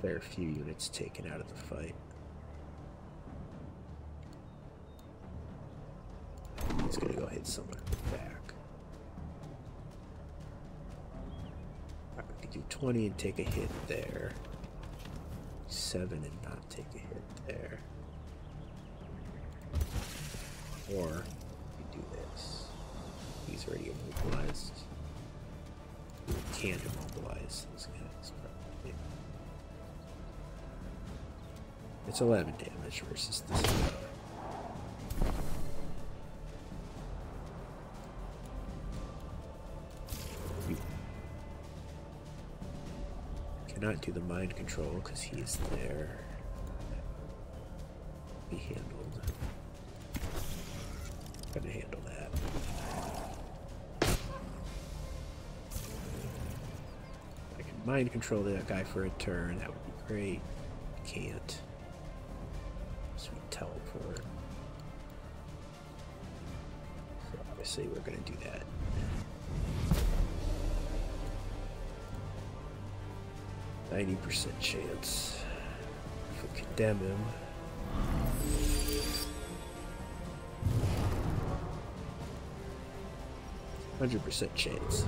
fair few units taken out of the fight. He's gonna go hit someone in the back. I we could do 20 and take a hit there. 7 and 9 take a hit there. Or do this. He's already immobilized. We can't immobilize those guys, It's 11 damage versus this Cannot do the mind control because he is there. Be handled. Gonna handle that. I can mind control that guy for a turn. That would be great. Can't. Sweet teleport. So obviously we're going to do that. Ninety percent chance. If we condemn him. Hundred percent chance.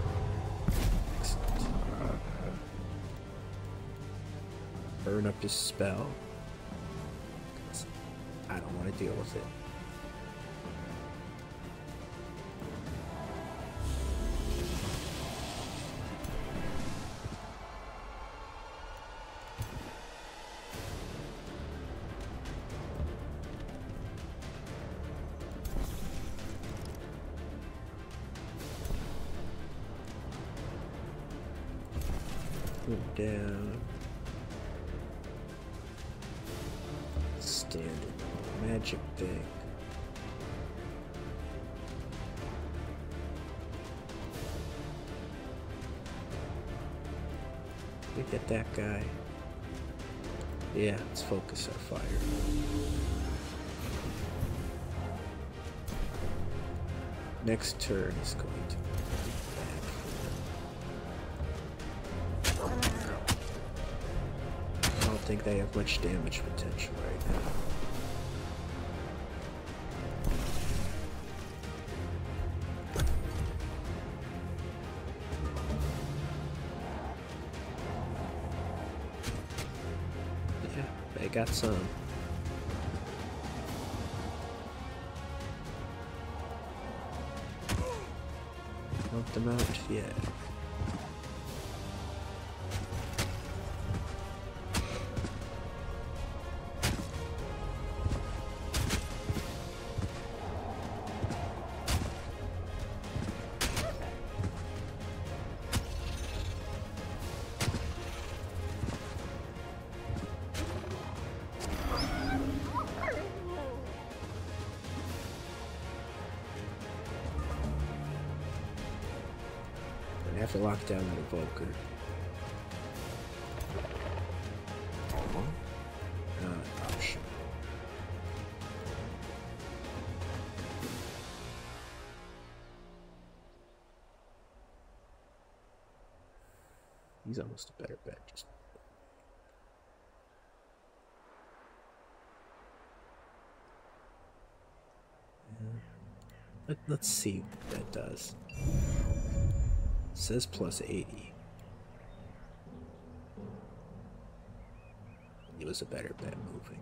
Burn up his spell. I don't want to deal with it. down. Standard magic thing. Look at that guy. Yeah, let's focus our fire. Next turn is going to be I don't think they have much damage potential right now. they got some. Help them out, yeah. I have to lock down that evoker. Uh, He's almost a better bet. Just let, us see what that does. says plus 80. It was a better bet moving.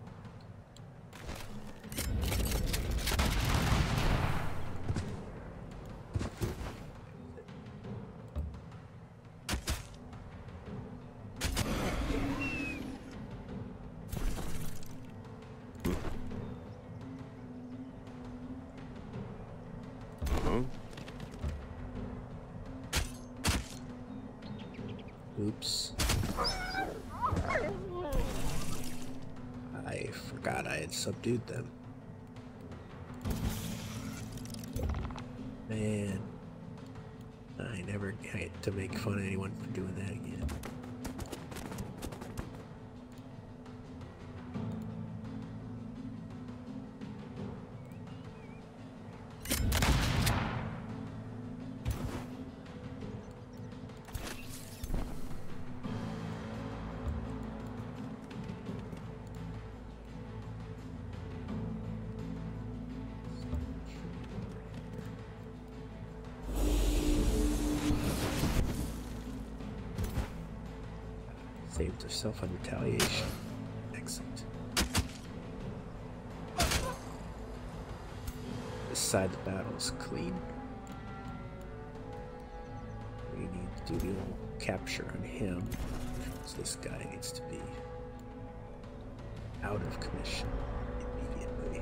Oops. I forgot I had subdued them. Man. I never get to make fun of anyone for doing that again. Saved herself on retaliation. Excellent. This side of the battle is clean. We need to do a old capture on him this guy needs to be out of commission immediately.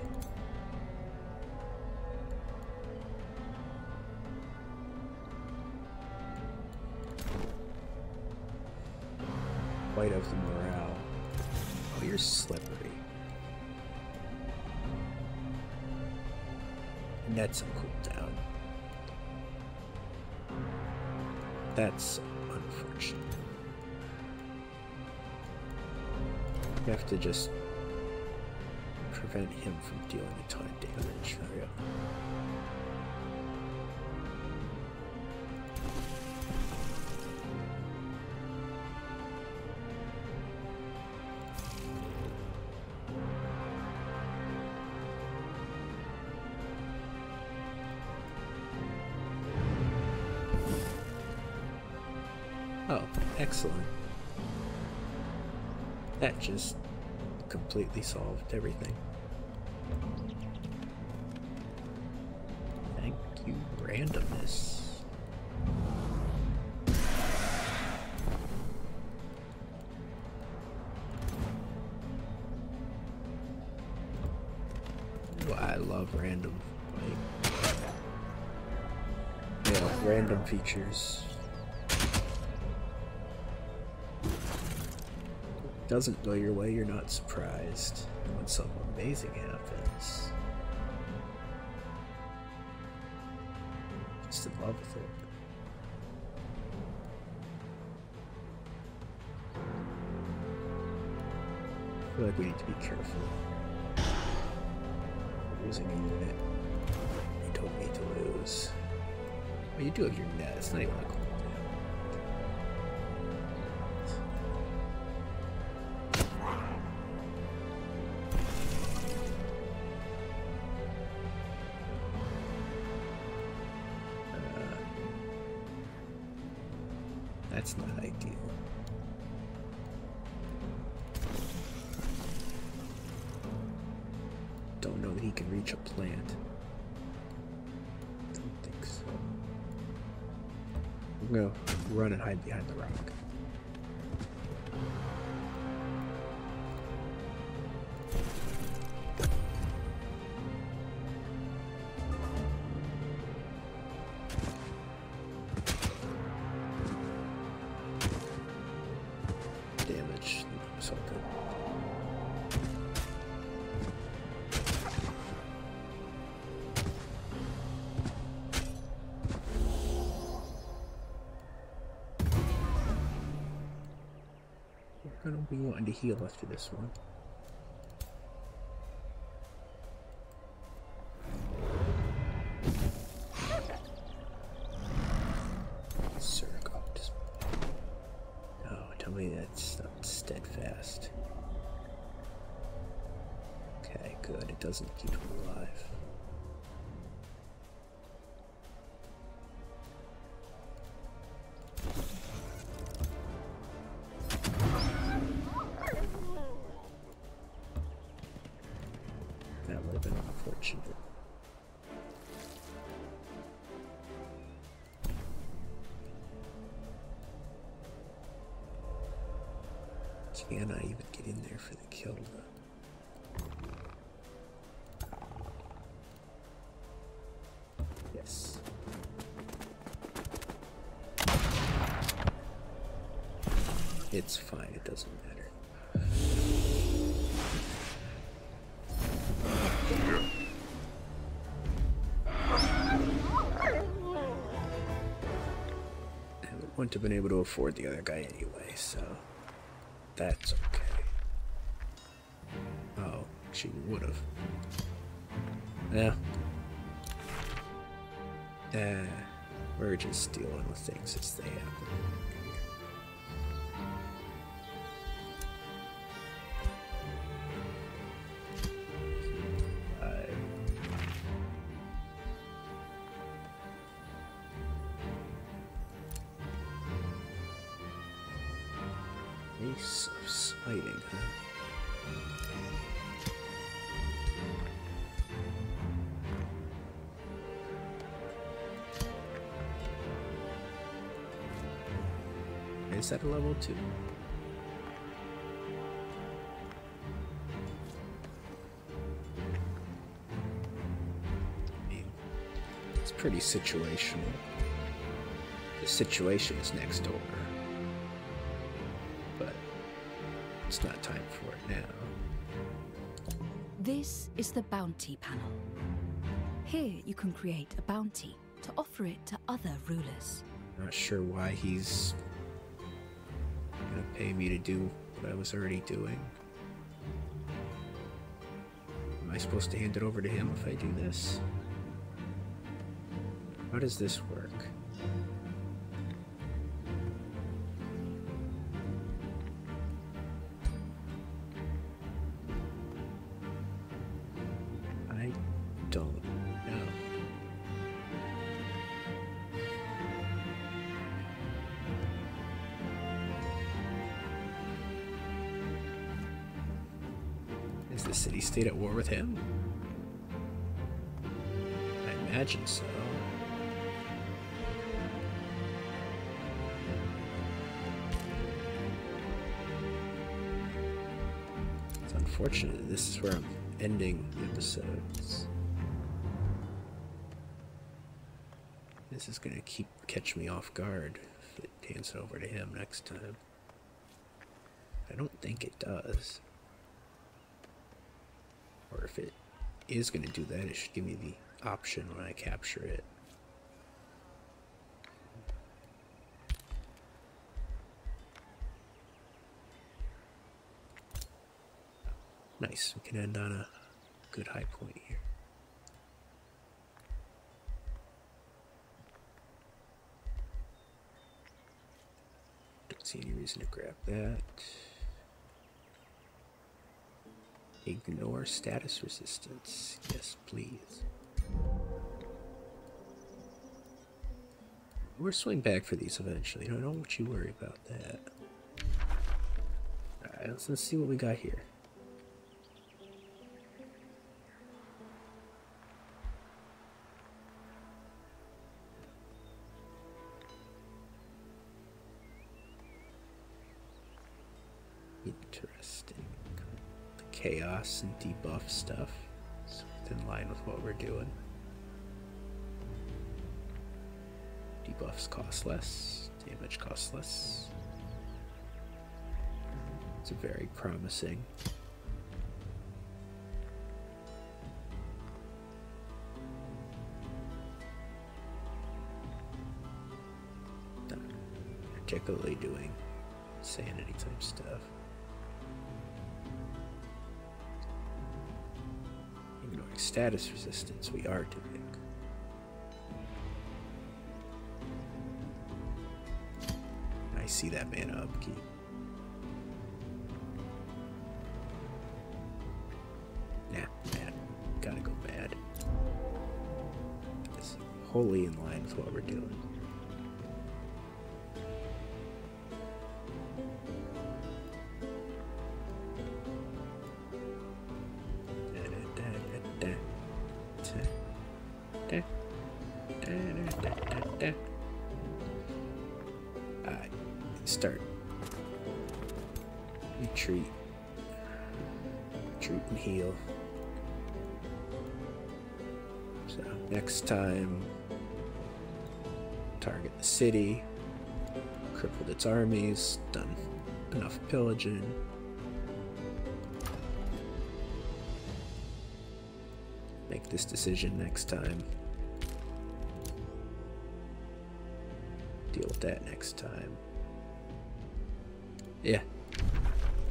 Quite of the morale. Oh, you're slippery. And that's a cooldown. That's unfortunate. We have to just prevent him from dealing a ton of damage. There Oh, excellent. That just completely solved everything. Thank you, randomness. I love random, like, yeah, random features. doesn't go your way, you're not surprised when something amazing happens. Just in love with it. I feel like we need to be careful. We're losing a unit. You don't need to lose. Well, oh, you do have your net. It's not even a cool that's not ideal. Don't know that he can reach a plant. Don't think so. I'm gonna run and hide behind the rock. Damage something. We're going to be wanting to heal after this one. Surgot. Oh, tell me that's not steadfast. Okay, good. It doesn't keep him alive. That would have been unfortunate. Can I even get in there for the kill Yes. It's fine, it doesn't matter. I wouldn't have been able to afford the other guy anyway, so that's okay. Oh, she would have. Yeah. Uh, we're just dealing with things as they happen. Ace of Sliding, huh? Is that level two? it's pretty situational the situation is next door. But it's not time for it now. This is the bounty panel. Here you can create a bounty to offer it to other rulers. Not sure why he's gonna pay me to do what I was already doing. Am I supposed to hand it over to him if I do this? How does this work? I don't know. Is the city-state at war with him? I imagine so. It's unfortunate this is where I'm ending the episodes. This is gonna keep catch me off guard if it pans over to him next time. I don't think it does. Or if it is going to do that, it should give me the option when I capture it. Nice, we can end on a good high point here. Don't see any reason to grab that. Ignore status resistance. Yes, please. We're swing back for these eventually. Don't, do you worry about that. Alright, let's see what we got here. Interesting. The chaos and debuff stuff. So it's in line with what we're doing. Debuffs cost less, damage costs less. It's very promising. Not particularly doing sanity type stuff. Ignoring status resistance, we are doing. I see that man upkeep. Nah, bad. Gotta go bad. It's wholly in line with what we're doing start. Retreat. Retreat and heal. So next time, target the city, crippled its armies, done enough pillaging make this decision next time. Deal with that next time. Yeah.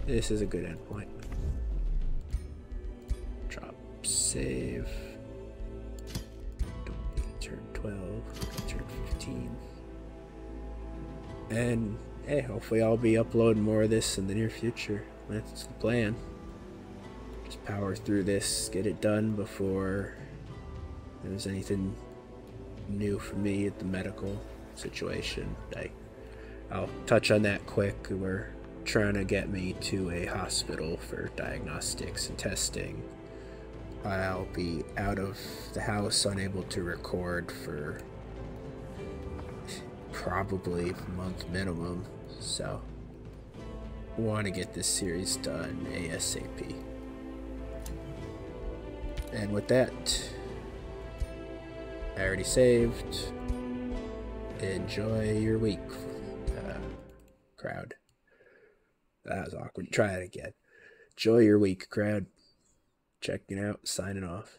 This is a good endpoint. Drop save. turn 12, turn 15. And hey, hopefully I'll be uploading more of this in the near future. That's the plan. Just power through this, get it done before there's anything new for me at the medical situation. I, I'll touch on that quick. We're trying to get me to a hospital for diagnostics and testing. I'll be out of the house, unable to record for probably month minimum. So, want to get this series done ASAP. And with that, I already saved. Enjoy your week, uh, crowd. That was awkward. Try it again. Enjoy your week, crowd. Checking out, signing off.